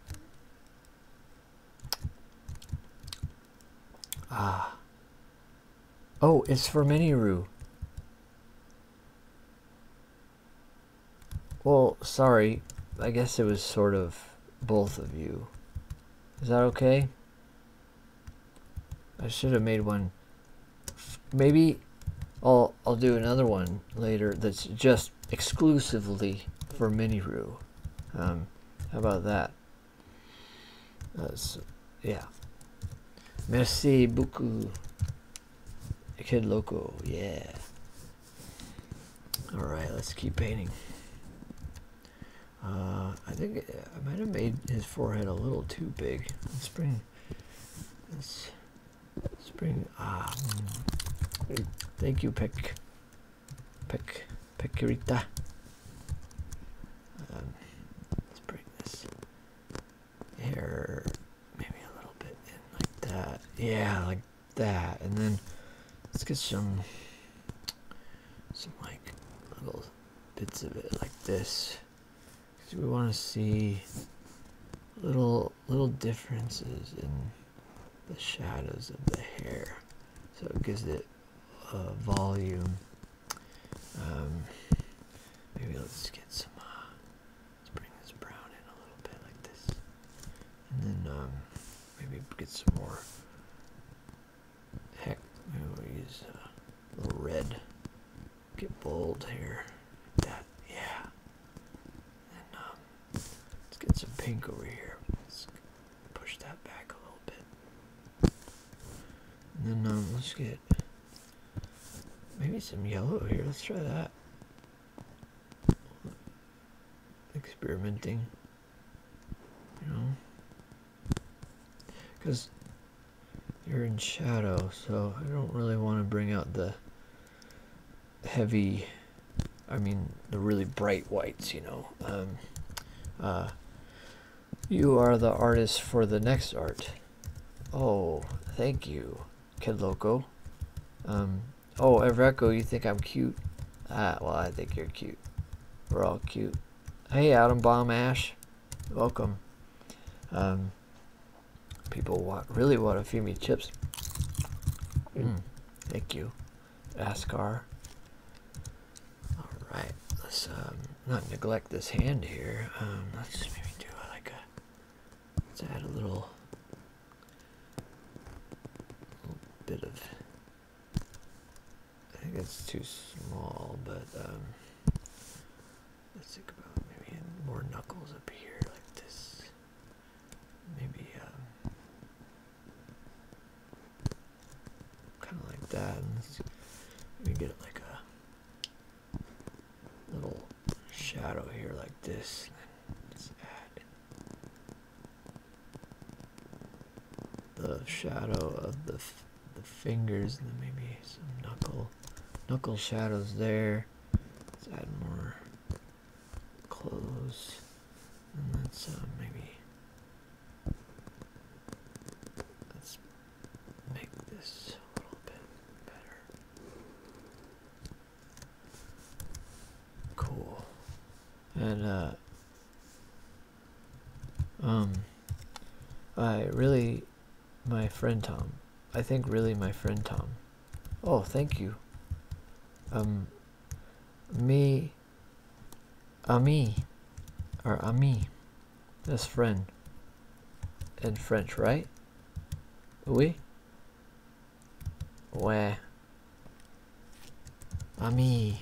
ah. Oh, it's for Miniru. Well, sorry. I guess it was sort of both of you. Is that okay? I should have made one. Maybe I'll, I'll do another one later that's just exclusively for Mini-Roo. Um, how about that? Uh, yeah. Merci beaucoup. Kid Loco, yeah. Alright, let's keep painting. Uh, I think uh, I might have made his forehead a little too big. Let's bring, let's, let's bring, ah, um, thank you, Pick, Pick, Picurita. Um, let's bring this hair maybe a little bit in like that. Yeah, like that. And then let's get some, some like little bits of it like this because we want to see little little differences in the shadows of the hair so it gives it uh, volume um, maybe let's get some uh, let's bring this brown in a little bit like this and then um, maybe get some more Heck, we'll use a little red. Get bold here. That, yeah. And um, let's get some pink over here. Let's push that back a little bit. And then um, let's get maybe some yellow here. Let's try that. Experimenting. You know, because you're in shadow so I don't really want to bring out the heavy I mean the really bright whites you know um, uh, you are the artist for the next art oh thank you kid loco um, oh Evreco you think I'm cute ah well I think you're cute we're all cute hey Adam Bomb Ash welcome. Um, people want really want a few me chips. Mm. Mm, thank you, Askar. All right, let's um, not neglect this hand here. Um, let's maybe do uh, like a let's add a little, little bit of I think it's too small, but um, let's think about maybe more knuckles up here like this. Maybe um, kind of like that. And let's get it like a little shadow here like this. Let's add the shadow of the the fingers and then maybe some knuckle knuckle shadows there. Let's add more clothes and let's uh, maybe let's make this a little bit better. Cool. And uh um, I really, my friend Tom. I think really my friend Tom. Oh, thank you. Um, me, ami, or ami, this friend. In French, right? Oui. Where. Ami.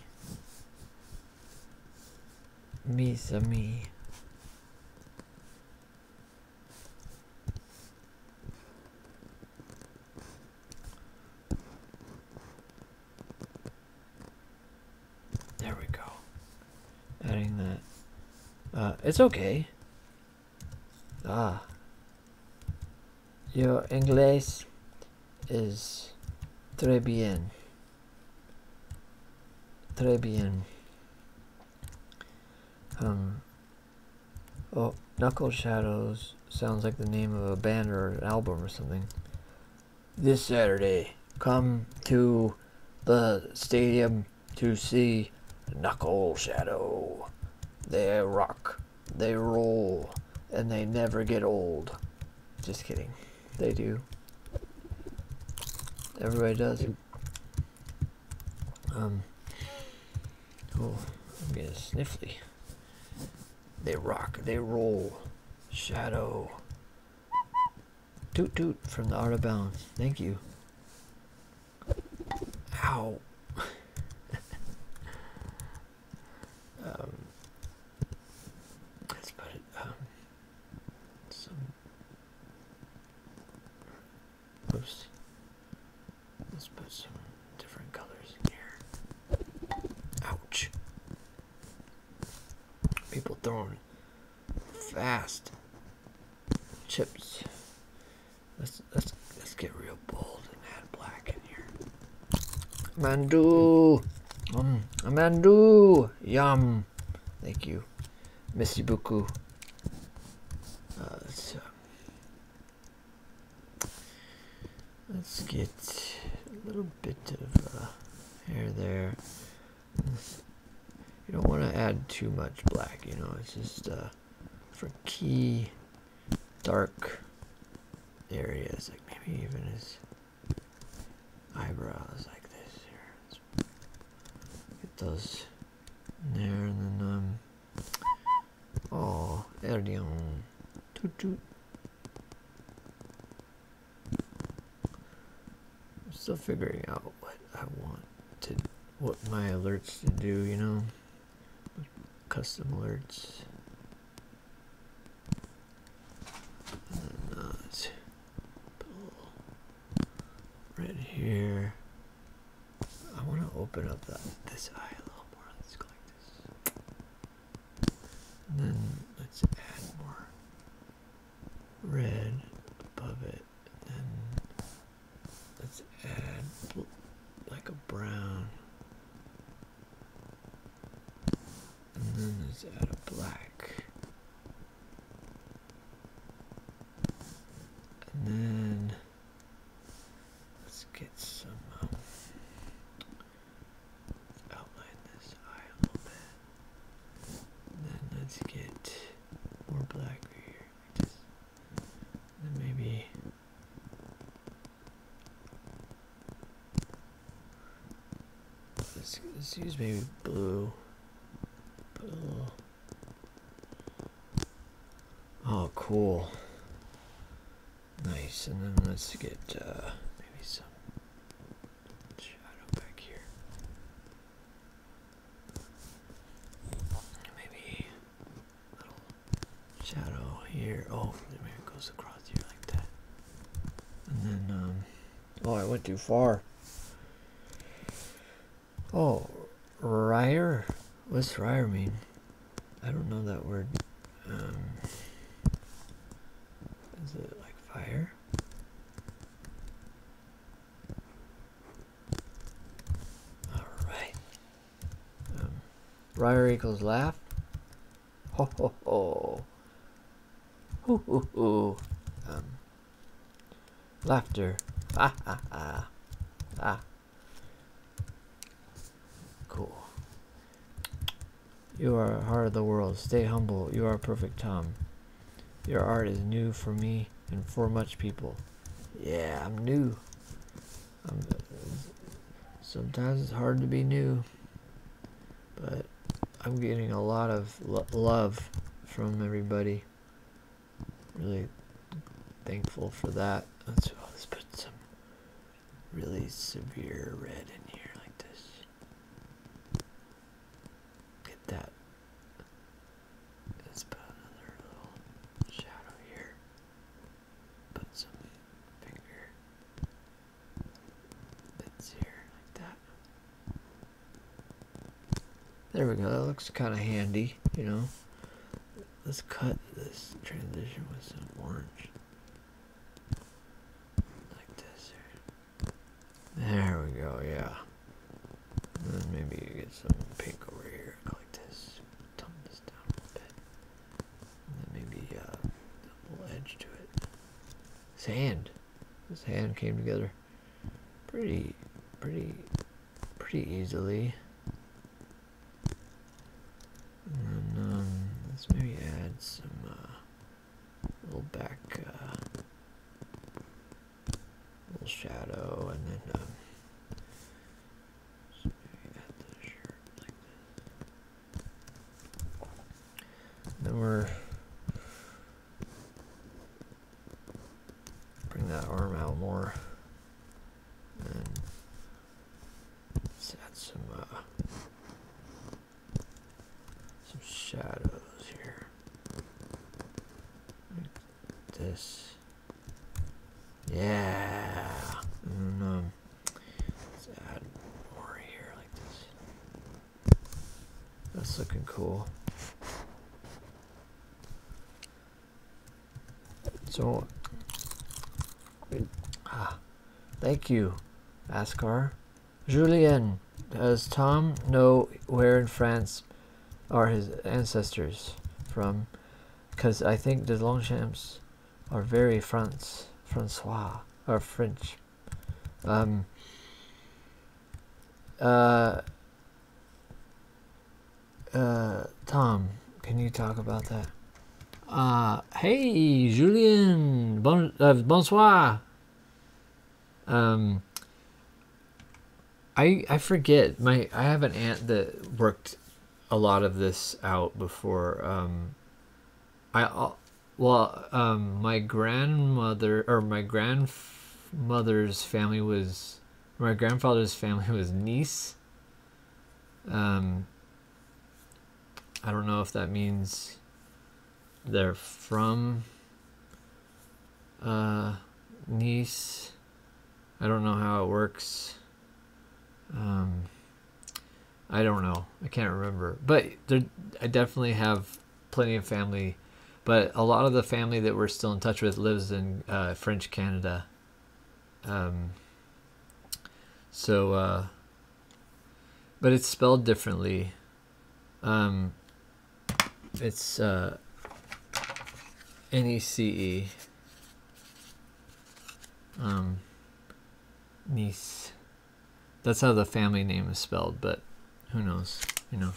Mes me. There we go. Adding that. Uh, it's okay. Ah. Your English is très bien. Très bien. Um, oh, Knuckle Shadows sounds like the name of a band or an album or something. This Saturday, come to the stadium to see Knuckle Shadow. They rock, they roll, and they never get old. Just kidding. They do. Everybody does. Um. Oh, I'm getting sniffly. They rock. They roll. Shadow. Toot toot from the Art of balance. Thank you. Ow. (laughs) um, let's put um, some Oops. Let's put some different colors in here. Ouch. People throwing fast chips. Let's let's let's get real bold and add black in here. Mandu, um, Mandu, yum. Thank you. Merci Buku. Uh, uh, let's, get a little bit of uh, hair there. You don't want to add too much black, you know, it's just for key dark areas, like maybe even his eyebrows like this here it does there and then um oh Erdion toot toot I'm still figuring out what I want to what my alerts to do you know custom alerts not. Pull right here. I want to open up this eye a little more. Let's go like this, and then let's add more red above it, then let's add like a brown, and then let's add a black. And then let's get some um, outline this eye a little bit. then let's get more black here. then maybe let's, let's use maybe blue. Put Oh, cool. Nice. And then let's get uh, maybe some shadow back here. Maybe shadow here. Oh, it goes across here like that. And then, um, oh, I went too far. Oh, Ryer? What's Ryer mean? I don't know that word. Um, is it like fire? Alright. Um, Ryer equals laugh. Ho ho ho. Ho ho ho. Um, Laughter. Ah, ah, ah. Ah. Cool. You are heart of the world. Stay humble. You are perfect, Tom. Your art is new for me and for much people. Yeah, I'm new. I'm, sometimes it's hard to be new, but I'm getting a lot of love from everybody. Really thankful for that. Let's, put some really severe red in here like this. Get that. Let's another little shadow here. Put some finger bits here like that. There we go. That looks kind of handy, you know. Let's cut this transition with some orange. Like this There we go, yeah. then maybe you get some pink over here, like this. Tumble this down a little bit. then maybe a uh, little edge to it. Sand. This hand came together pretty, pretty, pretty easily. Um, let's maybe add some, uh, little back, uh, little shadow, and then, um, then we're Bring that arm out more. And let's add some, uh, some shadows here. Like this. Yeah. And, um, let's add more here like this. That's looking cool. So, ah, thank you, Askar. Julien, does Tom know where in France are his ancestors from? Because I think the Longchamps are very France, Francois, are French. Um, uh, uh, Tom, can you talk about that? Uh, hey, Julian, bon, uh, bonsoir. Um, I I forget my I have an aunt that worked a lot of this out before. Um, I well, um, my grandmother or my grandmother's family was my grandfather's family (laughs) was Nice. Um, I don't know if that means they're from uh, Nice. I don't know how it works. Um, I don't know. I can't remember. But there, I definitely have plenty of family but a lot of the family that we're still in touch with lives in uh, French Canada. Um, so, uh, but it's spelled differently. Um, it's uh, N E C E. Um, niece. That's how the family name is spelled, but who knows? You know.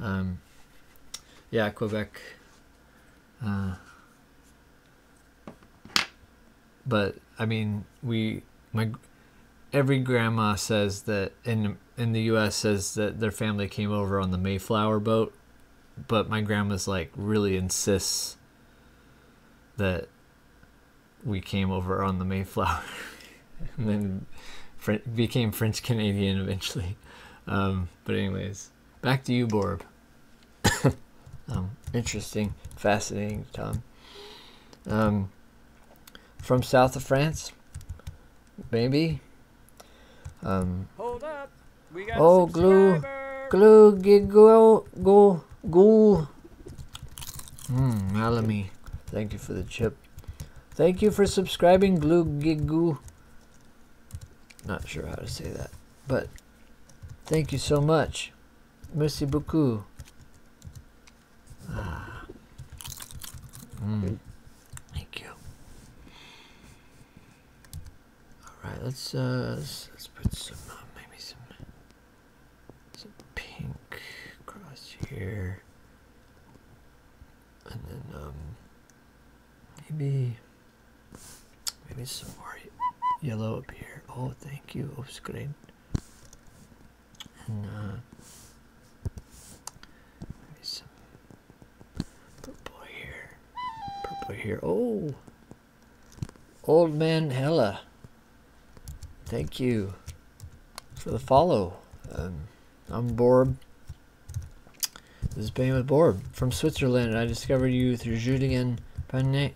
Um, yeah, uh, Quebec. but I mean, we my every grandma says that in in the U.S. says that their family came over on the Mayflower boat, but my grandma's like really insists that we came over on the Mayflower, (laughs) and then became French Canadian eventually actually. Um, but anyways, back to you, Borb. (coughs) um, interesting, fascinating, Tom. Um, from south of France, maybe. Um, Hold up, we got oh, glue, glue, giggle, go, go. Mmm, Alamy, thank you for the chip. Thank you for subscribing, Glue Giggoo. Not sure how to say that, but thank you so much. Merci beaucoup. Ah. Mm. Thank you. All right, let's uh, let's, put some uh, maybe some some pink across here, and then um, Maybe, maybe some more yellow up here. Oh, thank you. Oh, it's great. And uh, maybe some purple here. Purple here. Oh, old man Hella. Thank you for the follow. Um, I'm bored. This is Bane with Borb from Switzerland. I discovered you through Julian Paniak,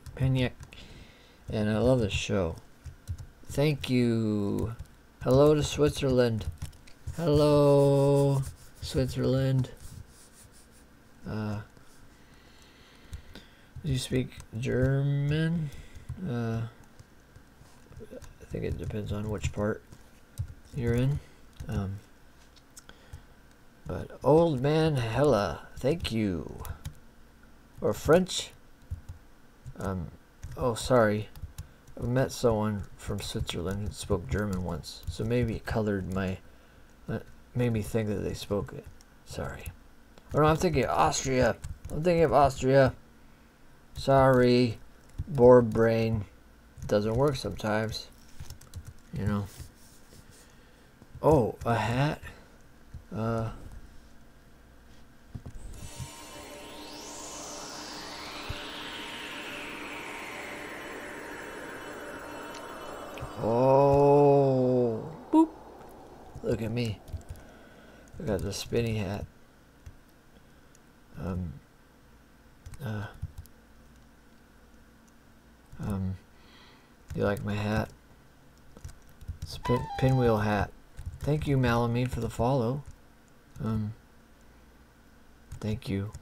and I love this show. Thank you. Hello to Switzerland. Hello, Switzerland. Uh, do you speak German? Uh, I think it depends on which part you're in. Um, but old man Hella, thank you. Or French. Um, oh, sorry. I met someone from Switzerland who spoke German once, so maybe colored my, uh, made me think that they spoke it. Sorry. Or oh, I'm thinking of Austria. I'm thinking of Austria. Sorry, bored brain doesn't work sometimes. You know. Oh, a hat. Uh. Oh. Boop. Look at me. I got the spinning hat. Um, uh, um, you like my hat? It's a pin pinwheel hat. Thank you, Malamine, for the follow. Um, thank you.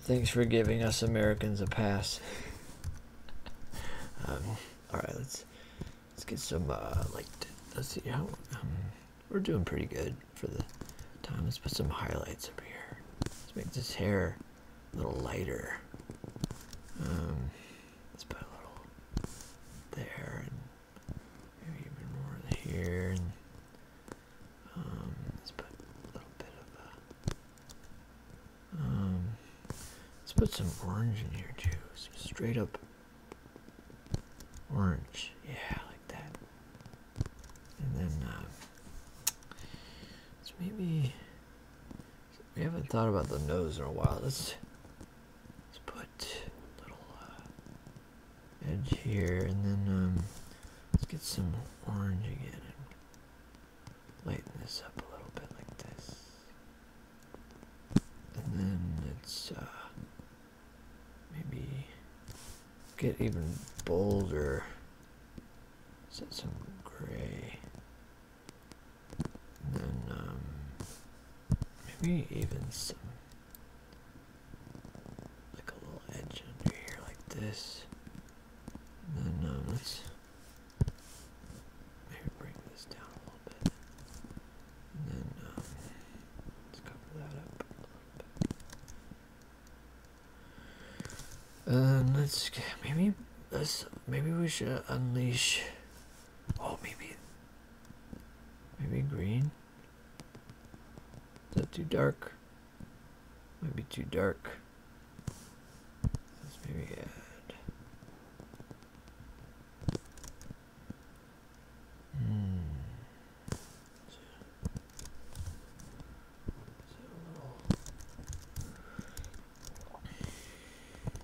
Thanks for giving us Americans a pass. (laughs) um, all right, let's let's get some uh, like let's see how. Um, we're doing pretty good for the time. Let's put some highlights up here. Let's make this hair a little lighter. Um, let's put a little there and maybe even more here. Um, let's put a little bit of a, um, let's put some orange in here too. So straight up orange. Yeah, like that and then uh, so maybe we haven't thought about the nose in a while. Let's let's put a little uh, edge here, and then um, let's get some orange again and lighten this up a little bit like this, and then it's. Uh, Maybe get even bolder. Set some gray. And then um, maybe even some like a little edge under here like this. then um, let's maybe bring this down a little bit. And then um, let's cover that up uh, let's maybe let's maybe we should unleash. Oh, maybe maybe green. Is that too dark? Might be too dark. Let's maybe add. Hmm.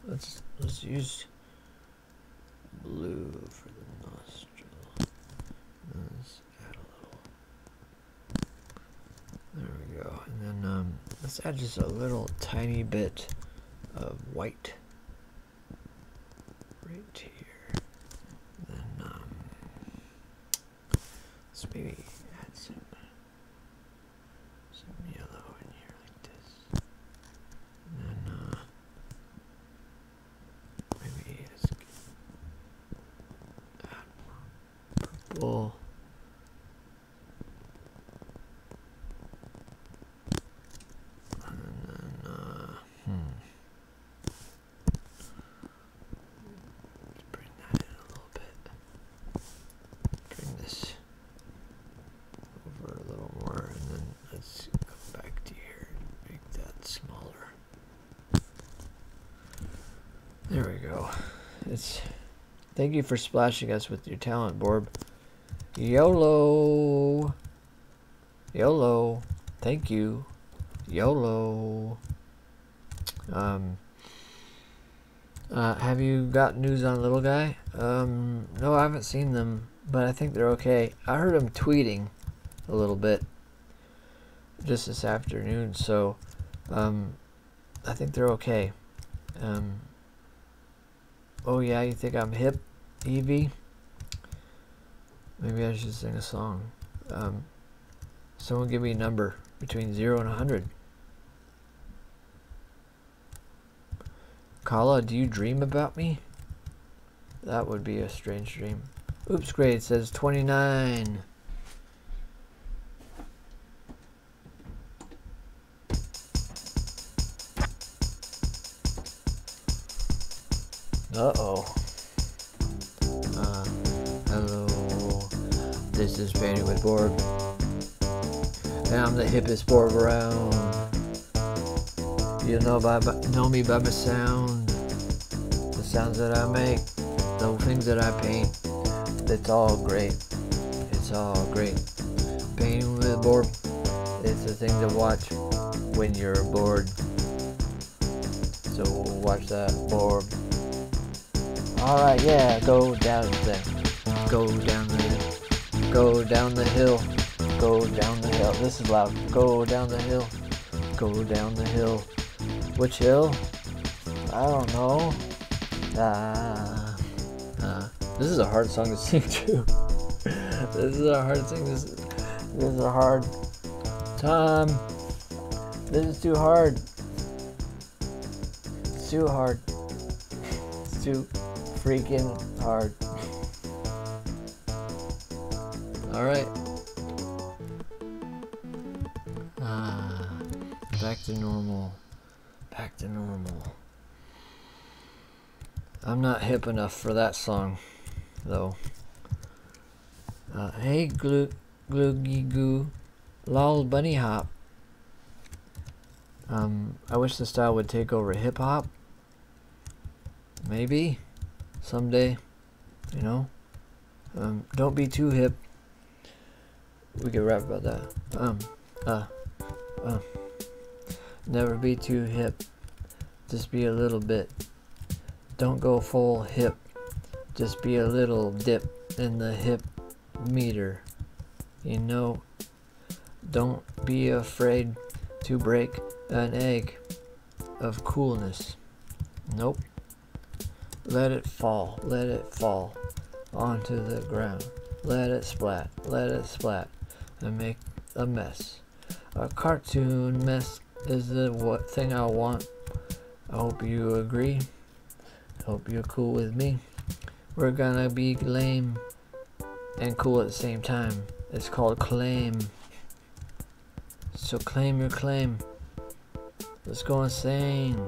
Let's let's use blue for the nostril. Let's add a little. There we go. And then um, let's add just a little tiny bit of white right here. Then um, Let's maybe add some some yellow in here like this. And then uh, maybe add more purple. And then, uh, hmm. Bring that in a little bit. Bring this over a little more, and then let's come back to here make that smaller. There we go. It's. Thank you for splashing us with your talent, Borb. YOLO! YOLO! Thank you. YOLO! Um, uh, have you got news on little guy? Um, no, I haven't seen them, but I think they're okay. I heard him tweeting a little bit just this afternoon, so um, I think they're okay. oh yeah, you think I'm hip, Evie? Maybe I should sing a song. Someone give me a number between 0 and 100. Kala, do you dream about me? That would be a strange dream. Oops, grade says 29. Uh-oh. Uh, hello, this is Fanny with Borg, and I'm the hippest Borg around. You know know me by my sound, the sounds that I make, the things that I paint. It's all great. It's all great. Painting with Borg is the thing to watch when you're bored. So watch that Borg. Alright, yeah, go down there. Go down there. Go down the hill. Go down the hill. This is loud. Go down the hill. Go down the hill. Which hill? I don't know. Ah. Uh, this is a hard song to (laughs) sing too. this is a hard thing. This, this is a hard time this is too hard. too hard. too freaking hard. Alright. Ah, back to normal. Back to normal. I'm not hip enough for that song, though. Uh, hey, Glute. Gloogie Goo, Lol Bunny Hop. Um, I wish the style would take over hip hop. Maybe. Someday. You know? Um, don't be too hip. We can rap about that. Um, uh, uh. Never be too hip. Just be a little bit. Don't go full hip, just be a little dip in the hip meter. You know, don't be afraid to break an egg of coolness. Nope. Let it fall, let it fall onto the ground. Let it splat, let it splat, and make a mess. A cartoon mess is the what thing I want. I hope you agree. Hope you're cool with me. We're gonna be lame and cool at the same time. It's called claim. So claim your claim. Let's go insane.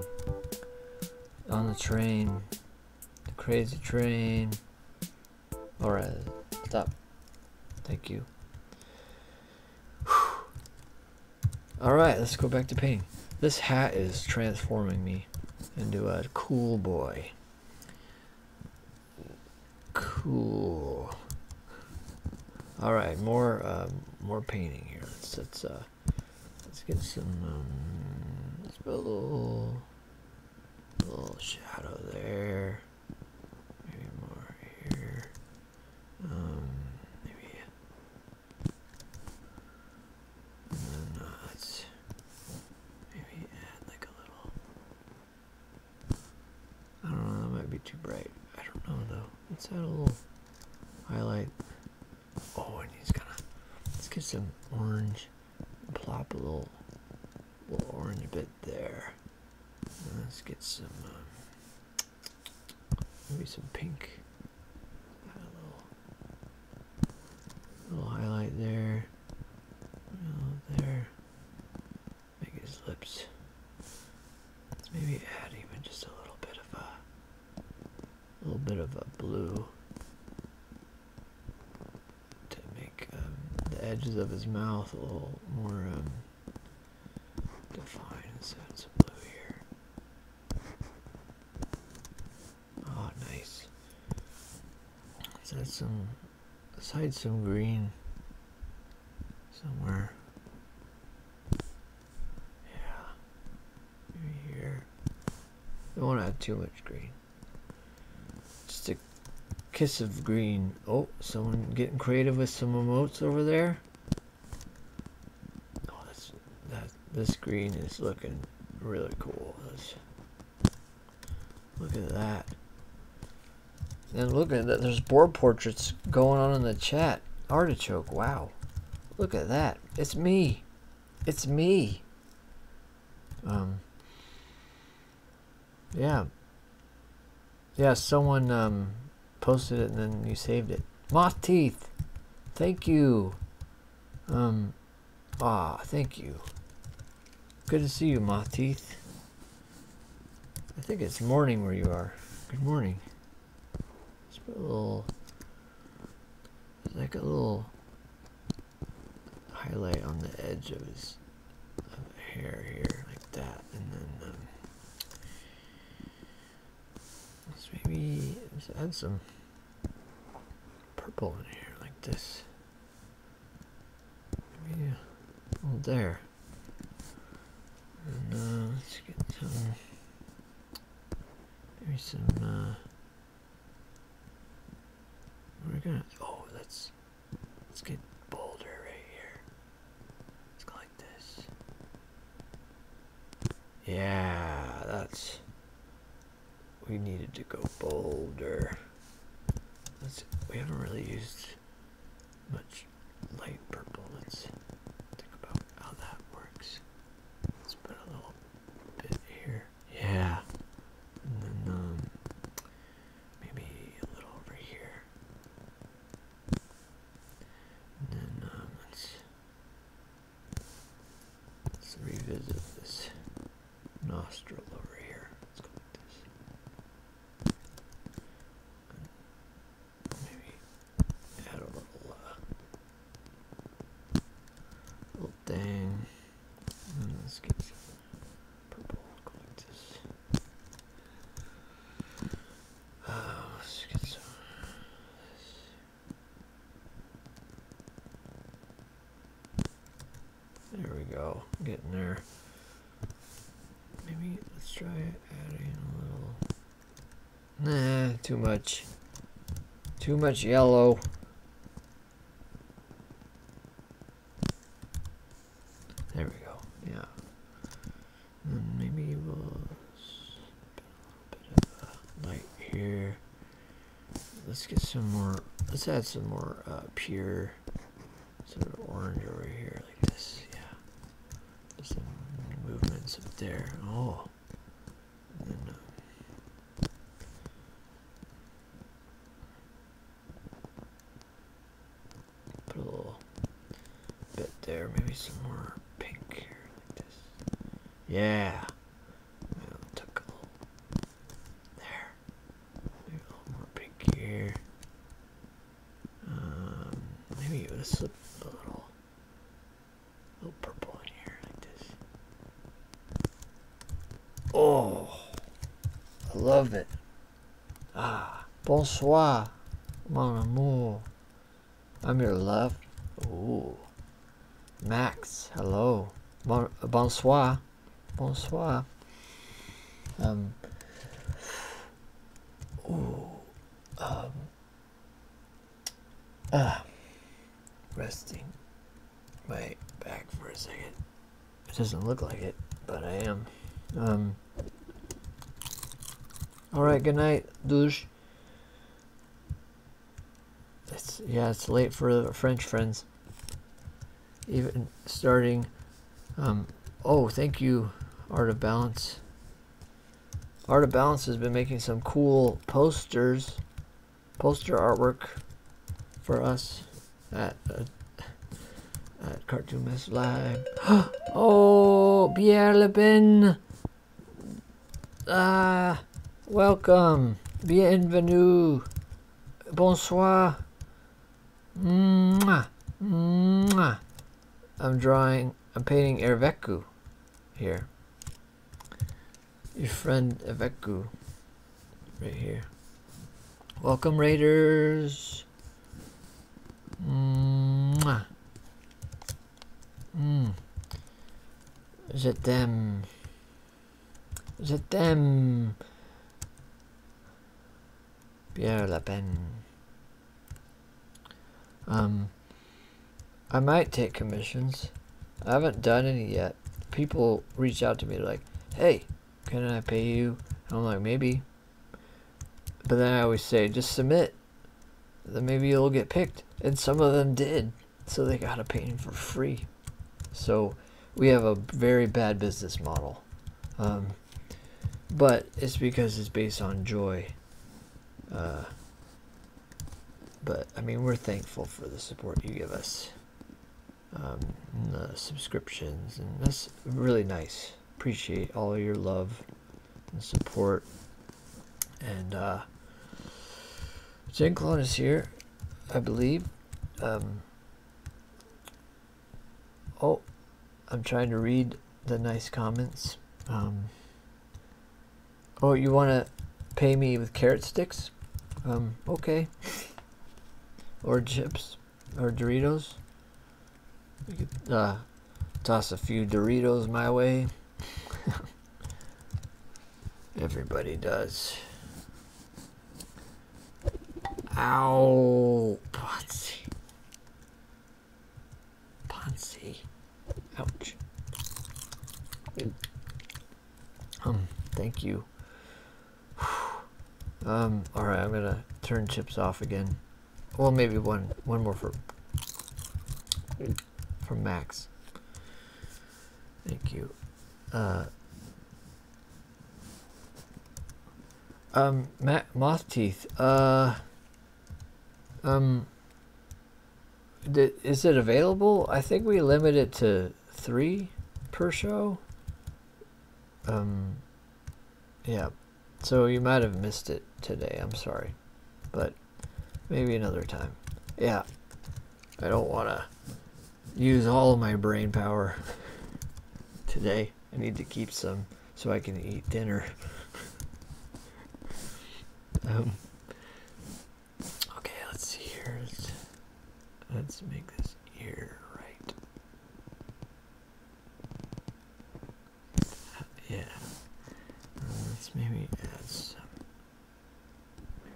On the train. The crazy train. Alright, stop. Thank you. Alright, let's go back to painting. This hat is transforming me into a cool boy. Cool. Alright, more uh, more painting here. Let's let's, uh, let's get some um, let's put a little little shadow there. Maybe more here. Um maybe let's maybe add like a little. I don't know, that might be too bright. I don't know though. Let's add a little highlight. Oh, and he's gonna. Let's get some orange. Plop a little, little orange bit there. let's get some. Um, Maybe some pink. a little, little highlight there. There. Make his lips. Let's maybe add even just a little bit of a, a little bit of a blue to make um, the edges of his mouth a little more um, defined. So it's a blue here. Oh, nice. So that's some, let some green somewhere. Yeah, here. Don't want to add too much green. Just a kiss of green. Oh, someone getting creative with some emotes over there. Oh, that's that. This green is looking really cool. look at that. And look at that. There's board portraits going on in the chat. Artichoke. Wow. Look at that. It's me. It's me. Um. Yeah. Yeah. Someone um posted it and then you saved it. Moth teeth, thank you. Um, ah, thank you. Good to see you, Moth teeth. I think it's morning where you are. Good morning. Let's put a little, like a little highlight on the edge of his hair here, like that, and then. Um, Let's maybe let's add some purple in here like this. Maybe a uh, little there. And uh, let's get some maybe some uh we're gonna oh let's let's get bolder right here. Let's go like this. Yeah, that's. We needed to go bolder. Let's, we haven't really used much light purple. Let's think about how that works. Let's put a little bit here. Yeah. And then um, maybe a little over here. then um, let's Let's revisit this nostril over here. Let's go like this. maybe add a little, uh, little thing. let's get some purple. Uh, let's get some. There we go, getting there. Maybe let's try adding a little. Nah, too much. Too much yellow. There we go, yeah. maybe we'll light here. Let's get some more. Let's add some more uh, pure sort orange over here, like this. Yeah, some movements up there. Oh, uh, put a little bit there. Maybe some more pink here, like this. Yeah took a little there. Maybe a little more pink here. Um, maybe a little, a little purple in here like this. Oh, I love it. Ah, bonsoir, mon amour. I'm your love. Ooh. Max, hello. bonsoir. Bonsoir. Um. Ooh. Um. Ah. Resting Wait back for a second. It doesn't look like it, but I am. Um. All right. Good night, douche. It's yeah, it's late for French friends. Even starting, um, oh, thank you, Art of Balance. Art of Balance has been making some cool posters, poster artwork for us at uh, at Cartoon Live. (gasps) oh, Pierre Le Ah, welcome. Bienvenue. Bonsoir. Mwah. Mwah. I'm drawing, I'm painting Erveku here. Your friend Erveku right here. Welcome, Raiders. Mwah. Mm. Je um, I might take commissions. I haven't done any yet. People reach out to me like, hey, can I pay you? I'm like, maybe. But then I always say, just submit. Then maybe you'll get picked. And some of them did so they got to pay him for free. So we have a very bad business model. Um, but it's because it's based on joy. Uh, but I mean, we're thankful for the support you give us, um, the subscriptions, and that's really nice. Appreciate all your love and support, and uh, Gen Clone is here, I believe. Um, oh, I'm trying to read the nice comments. Um, oh, you want to pay me with carrot sticks? Um, okay. or chips, or Doritos. You could uh, toss a few Doritos my way. (laughs) Everybody does. Ow, Ponzi. Ponzi. Ouch. Um, thank you. (sighs) Um, alright, I'm gonna turn chips off again. Well, maybe one, one more for... For Max. Thank you. Uh, um, Matt Moth Teeth. Uh, um, is it available? I think we limit it to three per show. Um, yeah. So you might have missed it today. I'm sorry, but maybe another time. Yeah, I don't want to use all of my brain power today. I need to keep some so I can eat dinner. (laughs) um, okay, let's see let's make this ear right. Yeah. Uh, let's maybe add some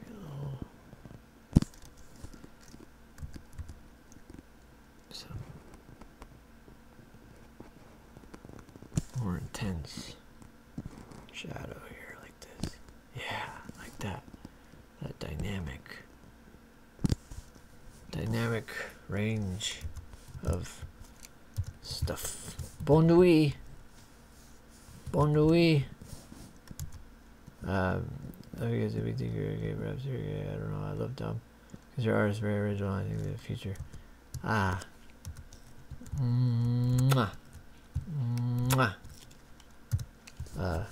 Hello. So more intense shadow here like this. Yeah, like that. That dynamic dynamic range of stuff. Bon nuit. Bon Nuit. Um, I guess if we think you're a gay perhaps you're gay. I don't know. I love Tom, Because your art is very original. I think the future. Ah. Mwah. Mwah. Uh,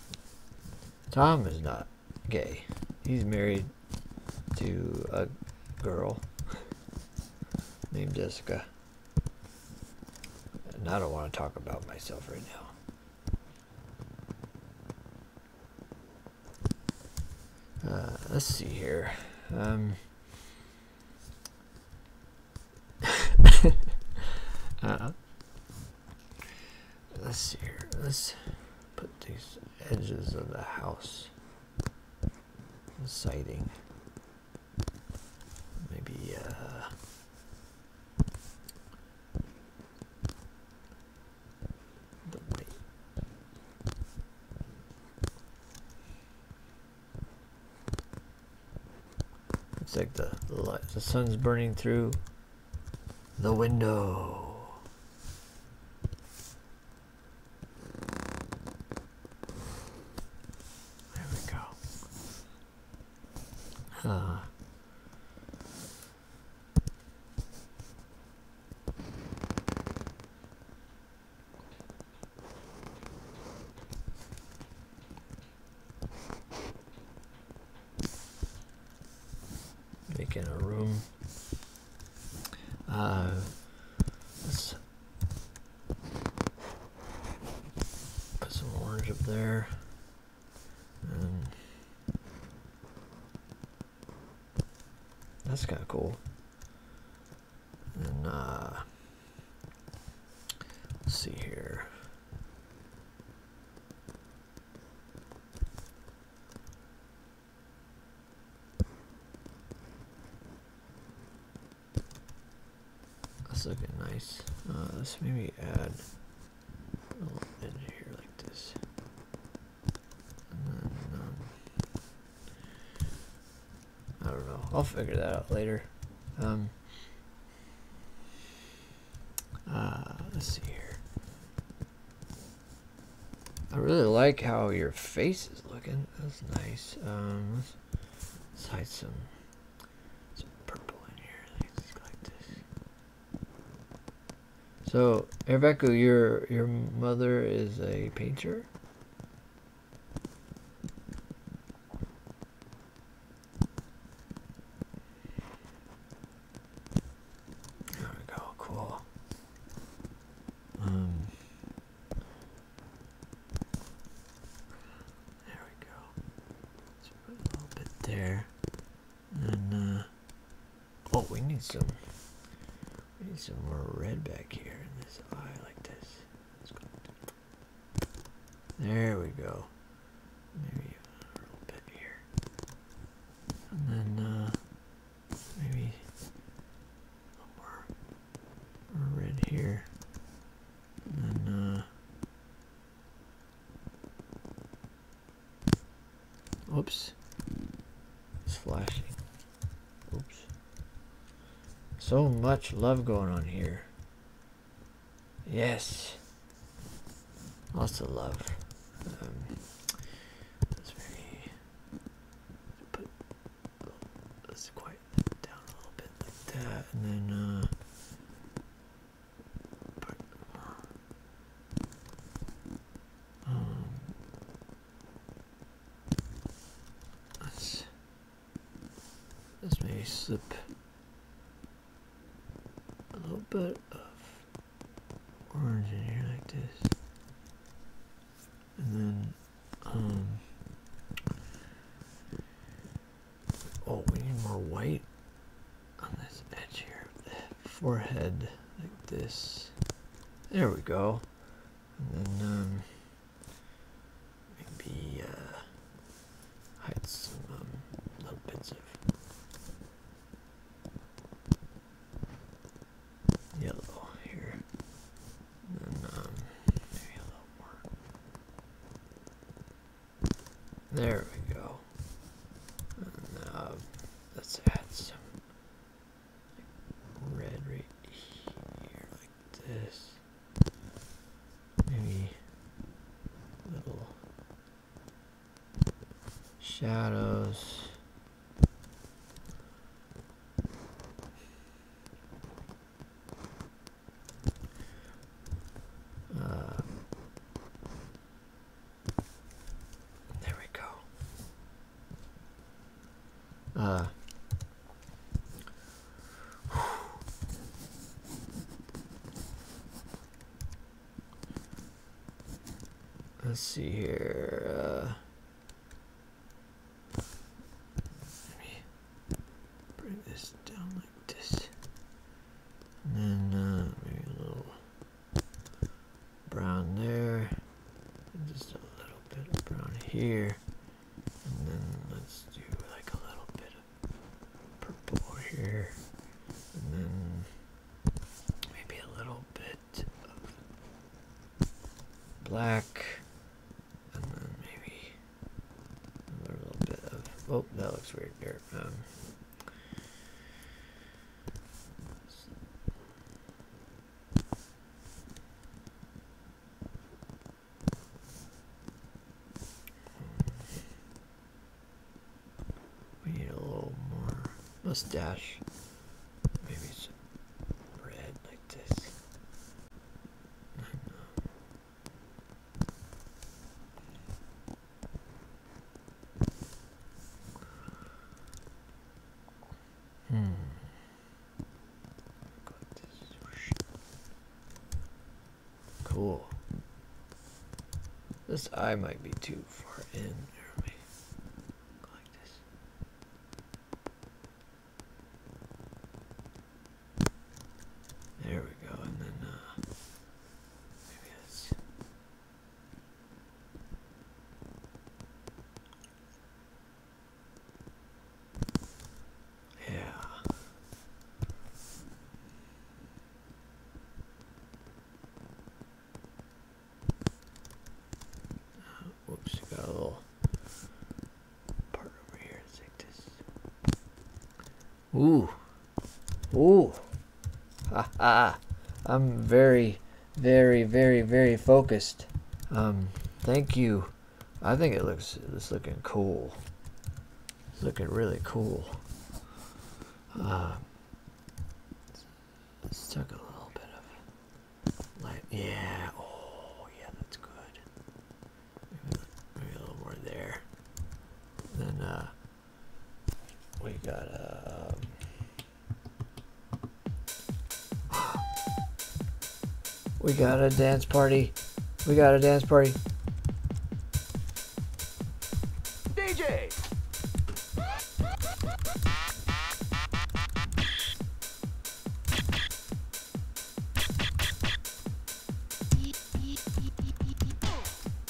Tom is not gay. He's married to a girl (laughs) named Jessica. And I don't want to talk about myself right now. Uh, let's see here. Um, (laughs) uh, let's see here. Let's put these edges of the house siding Maybe, uh, the white. Looks like the, the sun's burning through the window. There we go. Huh. Making a room. Uh, Put some orange up there. And um, that's kind of cool. And uh, let's see here. That's looking nice. Uh, let's maybe add a little in here like this. Um, I don't know. I'll figure that out later. Um, uh, let's see here. I really like how your face is looking. That's nice. Um, let's hide some so, Rebecca, your your mother is a painter. There we go. Cool. Um, there we go. put a little bit there. And uh, oh we need some need some more red back here in this eye like this. There we go. Maybe a little bit here. And then uh maybe more red here. And uh, Oops. It's flashing. Oops. So much love going on here. Yes. Lots of love. let's um, maybe put let's down a little bit like that and then uh, um, let's, let's maybe slip a little bit of orange in here like this. And then, um, Oh, we need more white on this edge here forehead, like this. There we go. And then um, maybe uh, some um, little bits of yellow here. And um, maybe a little more there we go. Uh, let's add some red right here, like this. Maybe little shadows. Uh, there we go. Uh, let's see here. Uh, bring this down like this, and then uh, maybe a little brown there, and just a little bit of brown here, and then let's do like a little bit of purple here, and then maybe a little bit of black. And then maybe a little bit of, oh, that looks weird there. We need a little more. let Maybe some red like this. Hmm. Cool. This eye might be too far in. There we go, and then uh, Maybe yeah. Uh, got a little part over here. Ooh. Ooh. Ha ha. I'm very, very, very, very focused. Um, thank you. I think it looks, it's looking cool. looking really cool. Uh, let's take a little bit of light. Yeah. Oh, yeah, that's good. maybe a little more there. Then, uh, we got a. Um, we got a dance party. We got a dance party. DJ.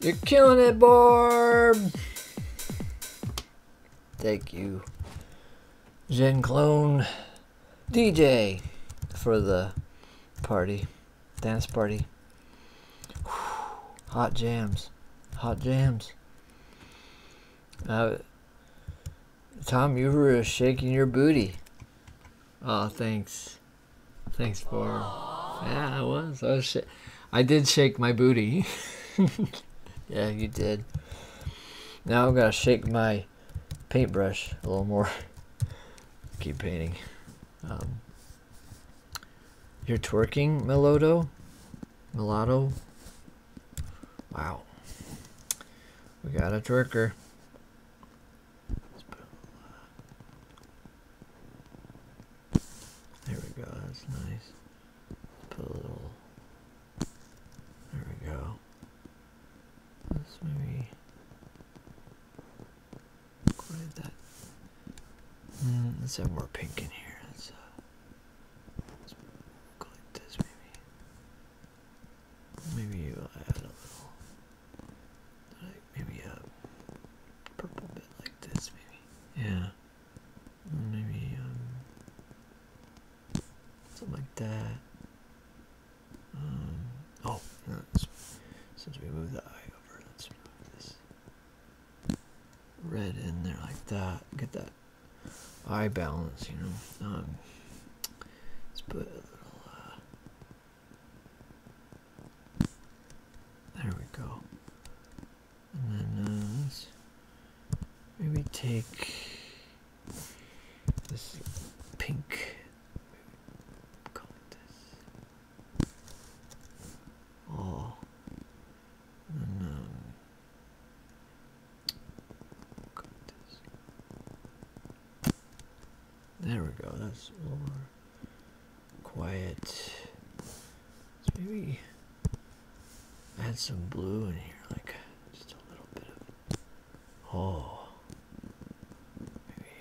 You're killing it, Barb! Thank you, Zen Clone DJ, for the party, dance party. (sighs) Hot jams, hot jams. Uh, Tom, you were shaking your booty. Oh, thanks. Thanks for. Yeah, I was. I did shake my booty. (laughs) yeah, you did. Now I've got to shake my paintbrush a little more. (laughs) Keep painting. Um, you're twerking, Melodo? Mulatto? Wow. We got a twerker. Let's put a little, there we go, that's nice. Put a little, there we go. Let's maybe what that? Mm, let's have more pink in here. Let's, uh, this maybe. Maybe a little. Like maybe a purple bit like this, maybe. Yeah. maybe um something like that. Um, oh, no, since we moved the eye over, let's move this red in there like that. Get that eye balance, you know. Um, let's put a little uh, there we go. And then maybe take this pink. Oh. And there we go, that's more quiet. let maybe add some blue in here, like just a little bit of. Oh. Maybe.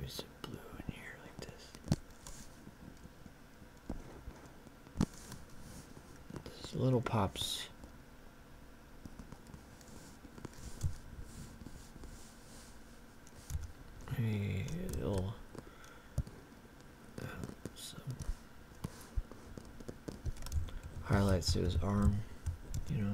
Maybe some blue in here, like this. These little pops um, highlights to his arm, you know.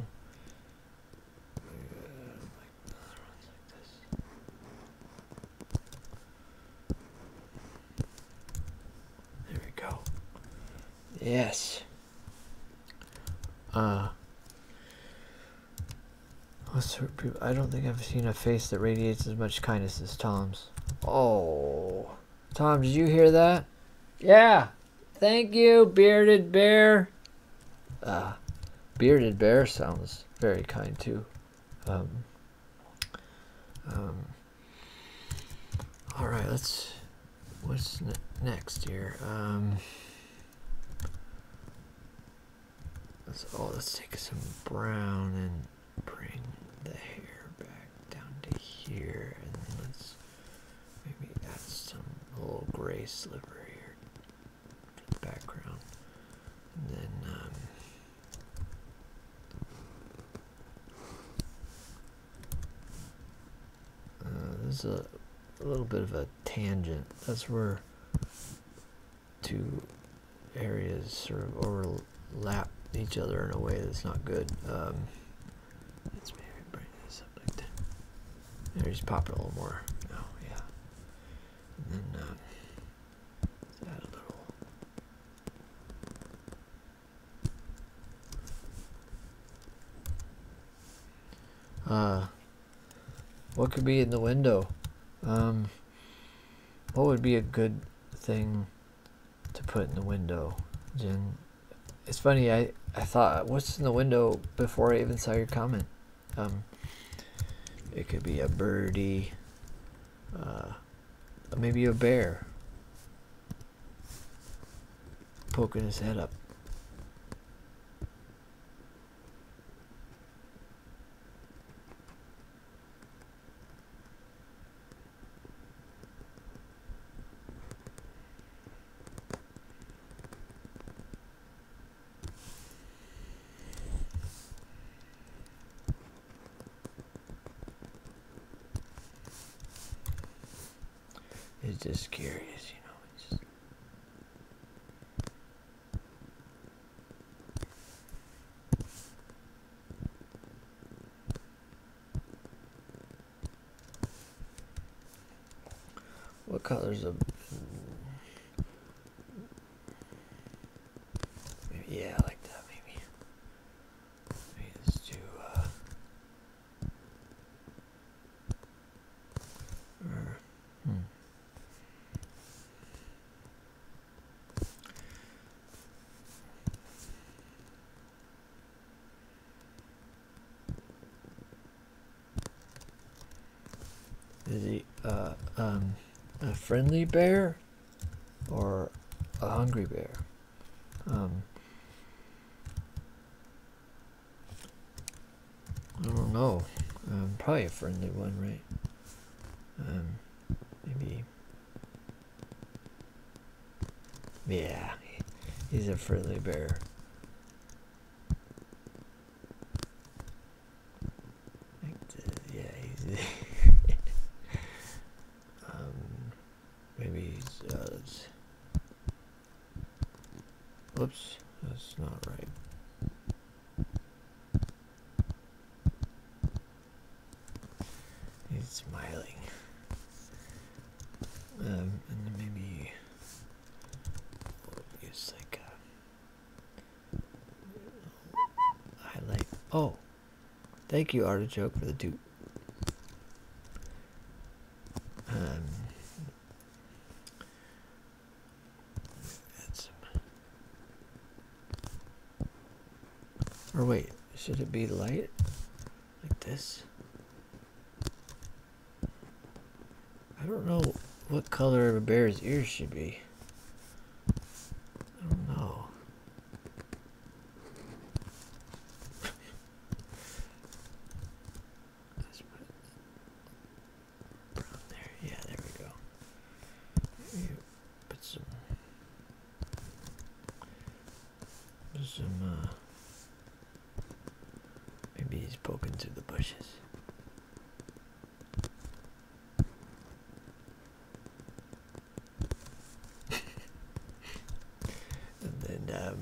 There we go. Yes. Uh, I don't think I've seen a face that radiates as much kindness as Tom's. Oh, Tom, did you hear that? Yeah. Thank you, bearded bear. Uh, bearded bear sounds very kind too. Um, um, all right, let's. What's next here? Um, Let's oh let's take some brown and bring the hair back down to here and let's maybe add some little gray sliver here to the background. And then um, uh, this is a, little bit of a tangent. That's where two areas sort of overlap each other in a way that's not good. Um, let's maybe bring this up like that. There, just pop it a little more. Oh, yeah. And then, uh, add a little. Uh, what could be in the window? Um, what would be a good thing to put in the window? Jen, it's funny. I I thought, what's in the window before I even saw your comment? Um, it could be a birdie, uh, maybe a bear poking his head up. It's just curious, you know. It's what color's a yeah, I like that Maybe let's do uh Hmm. Is he uh, um, a friendly bear or a hungry bear? Um, I don't know. Um, probably a friendly one, right? Um, maybe. Yeah, he's a friendly bear. Yeah, (laughs) um, maybe he's. Uh, Oops, that's not right. He's smiling. Um, and maybe we oh, like a uh, highlight. Oh, thank you, Artichoke, for the dupe. Um, or wait, should it be light? Like this? I don't know what color a bear's ear should be. I don't know. (laughs) Yeah, there we go. put some some uh, maybe he's poking through the bushes. (laughs) and then um,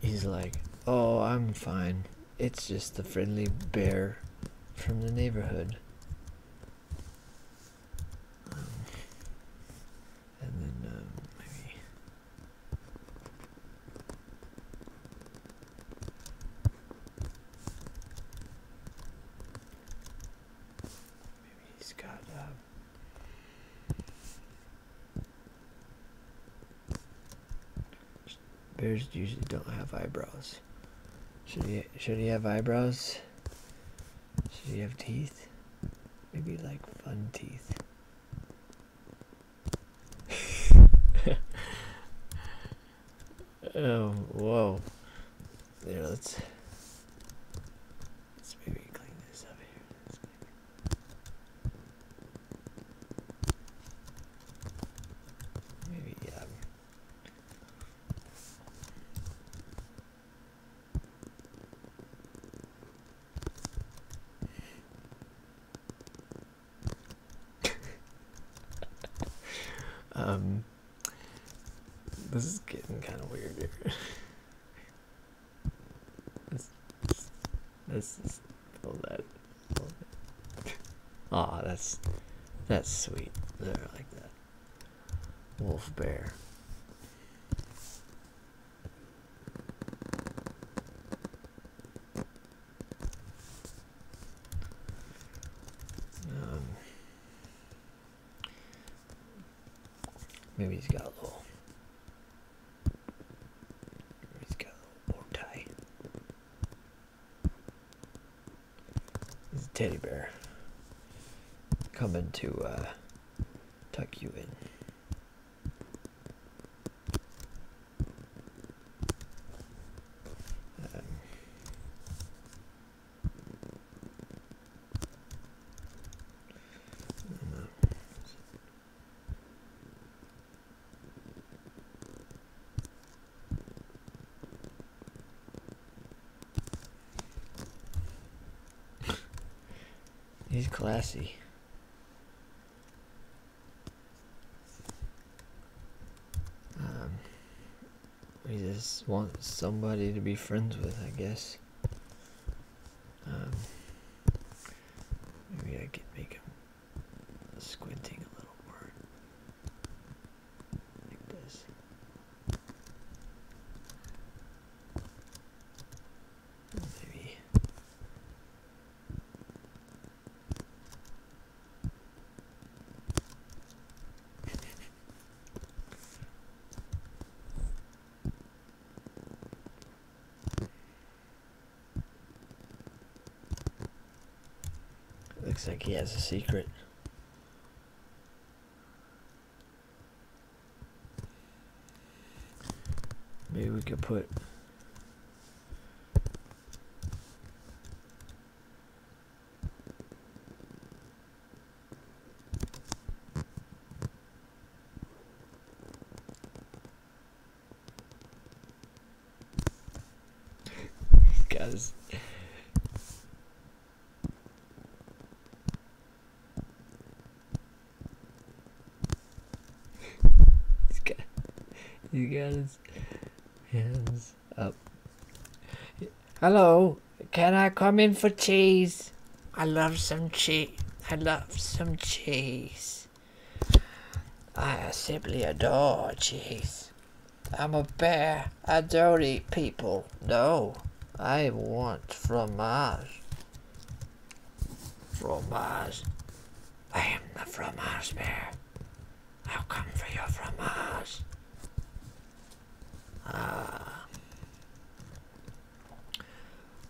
He's like, Oh, I'm fine. It's just the friendly bear from the neighborhood. Um, and then, maybe. Um, maybe he's got, um, Bears usually don't have eyebrows. Should he should he have eyebrows? Should he have teeth? Maybe like fun teeth. (laughs) oh whoa. There let's let's maybe clean this up here. Maybe, (laughs) um, this is getting kind of weird here. (laughs) this, this, Oh, that. Love that's that's sweet. There, like that. Wolf bear. Um, maybe he's got a little He's got a bow tie. He's teddy bear coming to uh, tuck you in. Um, He's classy. Um, he just wants somebody to be friends with, I guess. Um, maybe I could make him squinting a little more like this. Maybe. Looks like he has a secret. Maybe we could put Guys. He's got, hands up. Hello, can I come in for cheese? I love some cheese. I love some cheese. I simply adore cheese. I'm a bear. I don't eat people. No, I want from Mars. From Mars, I am the Mars bear. I'll come for your fromage. Ah.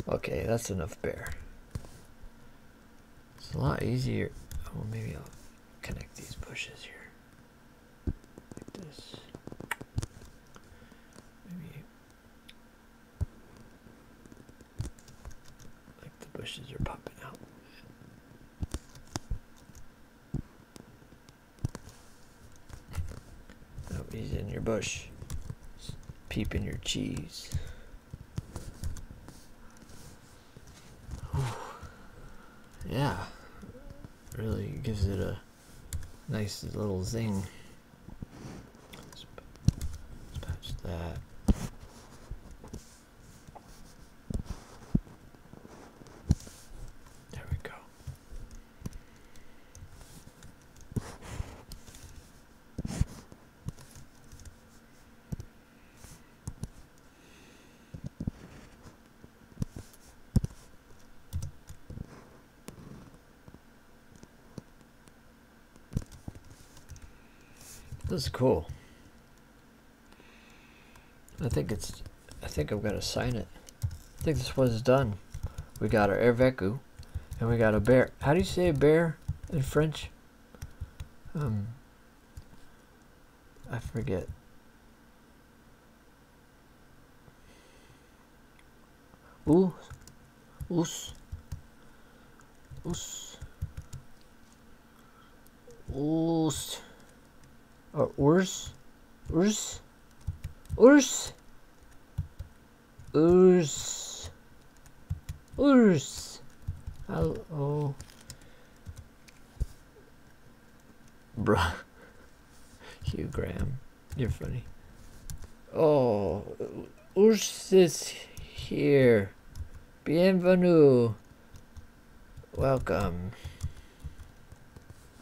Okay, that's enough bear. It's a lot easier. Oh, maybe I'll connect these bushes here. Like this. Maybe. Like the bushes are popping out. Oh, he's in your bush. Just peeping your cheese yeah really gives it a nice little zing patch that there we go this is cool. I think it's, I think I'm going to sign it. I think this one's done. We got our Erveku, and we got a bear. How do you say bear in French? Um, I forget. Ooh, us, us, us, or urs, urs, urs, urs, urs. Hello. Bruh. (laughs) Hugh Graham. You're funny. Oh, Ursus here. Bienvenue. Welcome.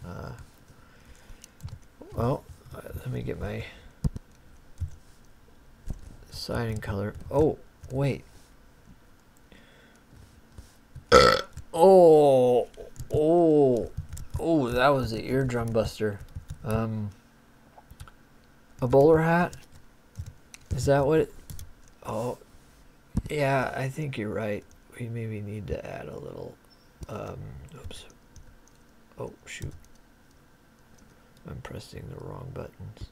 Uh, well, let me get my signing color. Oh, wait oh, oh, oh, that was the eardrum buster. Um, a bowler hat? Is that what oh, yeah, I think you're right. We maybe need to add a little, um, oops. Oh, shoot. I'm pressing the wrong buttons.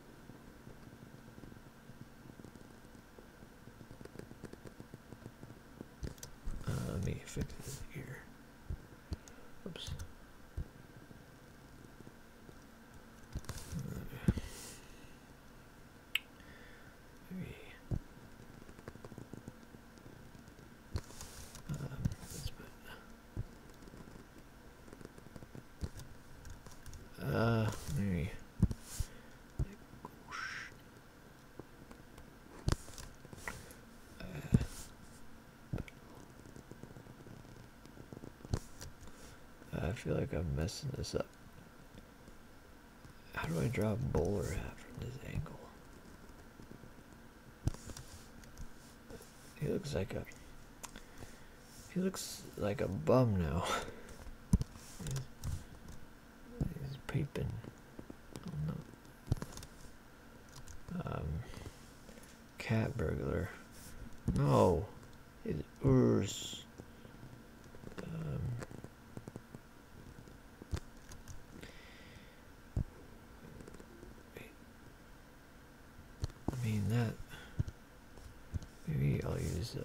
Uh, let me fix this here. Oops. Maybe. Um, let uh, maybe. Uh, I feel like I'm messing this up. How do I draw a bowler hat from this angle? He looks like a he looks like a bum now. he's, peeping. no. Um, cat burglar. No, it's Urs. Um, I mean that. Maybe I'll use. Uh,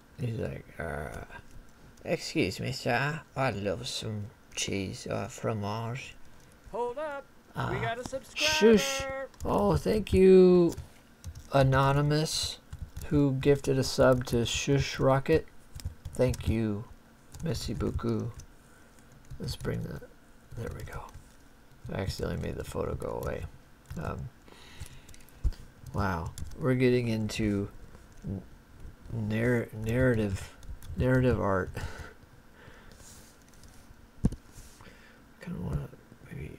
He's like, uh, excuse me, sir. I'd love some cheese or uh, fromage. Hold up. we ah, got a subscriber. Shush. Oh, thank you, Anonymous, who gifted a sub to Shush Rocket. Thank you, Missy Buku. Let's bring the. There we go. I accidentally made the photo go away. Um, wow. We're getting into narrative narrative art. kind of want to maybe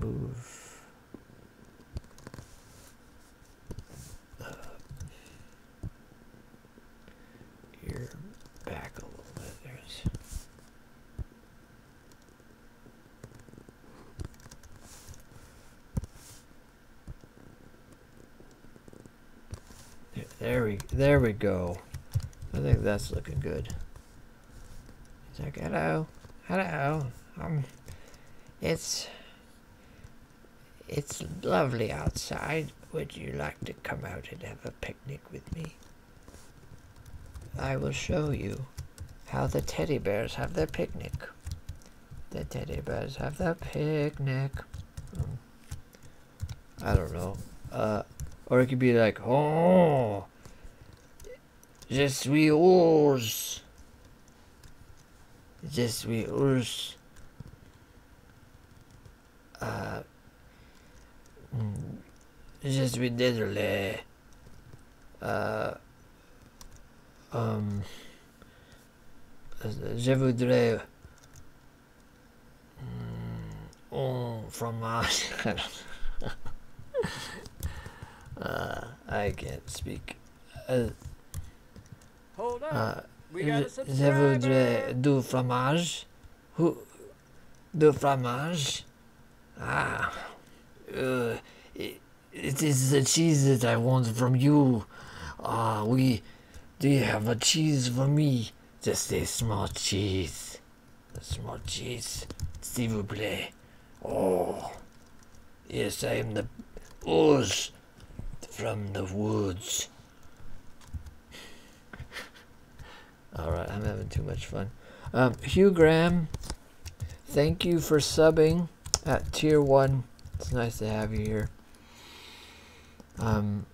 move. Uh, back a little bit. There's there we there we go. I think that's looking good. hello, hello. Um, it's it's lovely outside. Would you like to come out and have a picnic with me? I will show you how the teddy bears have their picnic. The teddy bears have their picnic. Hmm. I don't know. Uh, or it could be like, oh, just we ours. Just we ours. Uh, hmm. je suis désolé. Euh, euh, je voudrais euh, fromage. (laughs) I can't speak. Uh, je, je voudrais du fromage. Du fromage. Ah, uh, it is the cheese that I want from you. Ah, we, do you have a cheese for me? Just a small cheese. A small cheese, s'il vous Oh, yes, I am the Oz from the woods. (laughs) All right, I'm having too much fun. Um, Hugh Graham, thank you for subbing at tier one. It's nice to have you here. Um,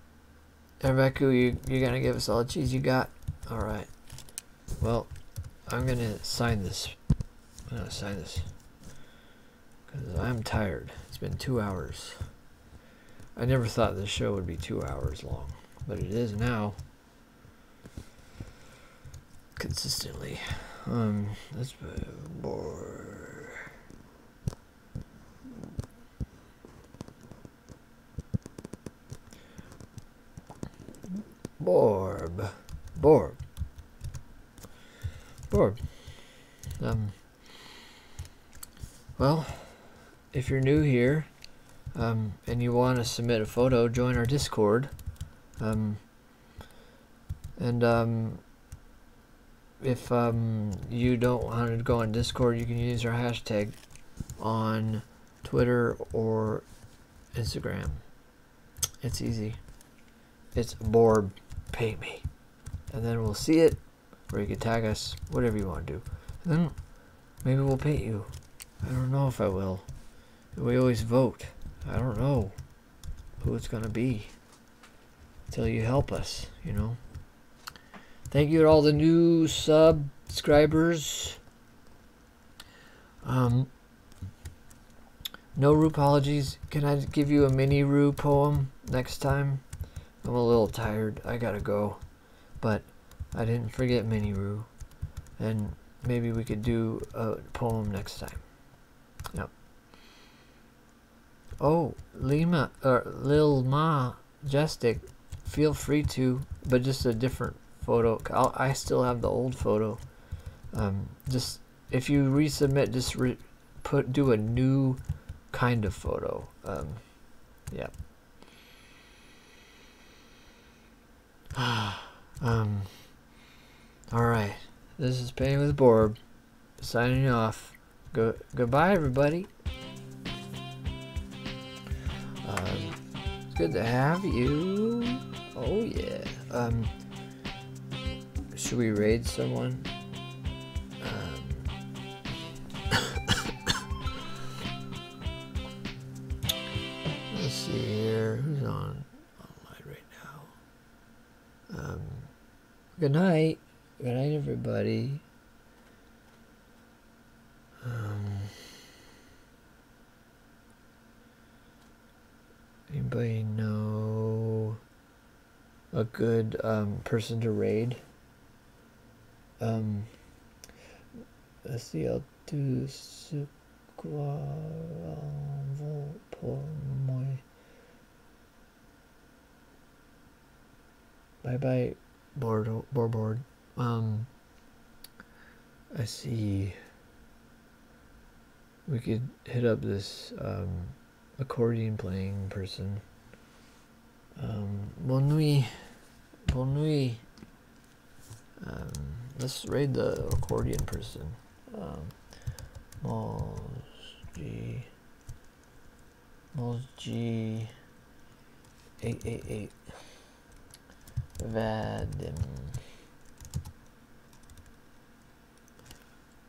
and Reku, you, you're gonna give us all the cheese you got? Alright. Well, I'm gonna sign this. I'm gonna sign this. Because I'm tired. It's been two hours. I never thought this show would be two hours long, but it is now consistently. Um, Let's that's more. Borb. Borb. Borb. Um, well, if you're new here um, and you want to submit a photo, join our Discord. Um, and um, if um, you don't want to go on Discord, you can use our hashtag on Twitter or Instagram. It's easy. It's Borb Pay Me. And then we'll see it, or you can tag us, whatever you want to do. then maybe we'll paint you. I don't know if I will. We always vote. I don't know who it's going to be till you help us, you know. Thank you to all the new subscribers. Um, no Rue apologies. Can I give you a mini Rue poem next time? I'm a little tired. I gotta go. But I didn't forget mini Rue. And maybe we could do a poem next time. Yep. Oh, Lima or Lil Ma majestic. feel free to, but just a different photo. i still have the old photo. Um, just if you resubmit, just put do a new kind of photo. Um, yeah. (sighs) um, Alright, this is Pain with Borb signing off. Go goodbye, everybody. Um, it's good to have you. Oh yeah. Um, should we raid someone? Um, (coughs) let's see here. Who's on online right now? Um, good night. Good night, everybody. Um, anybody know a good um, person to raid? Um, see, I'll do Guaravu por moi. Bye bye, Um, I see. We could hit up this um, accordion playing person. Um, bon nuit. Bon nuit. Um, let's raid the accordion person um, G Mos G eight eight eight Vadim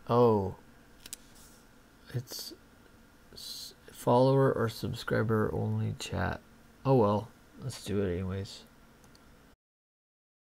Oh it's follower or subscriber only chat. Oh well, let's do it anyways.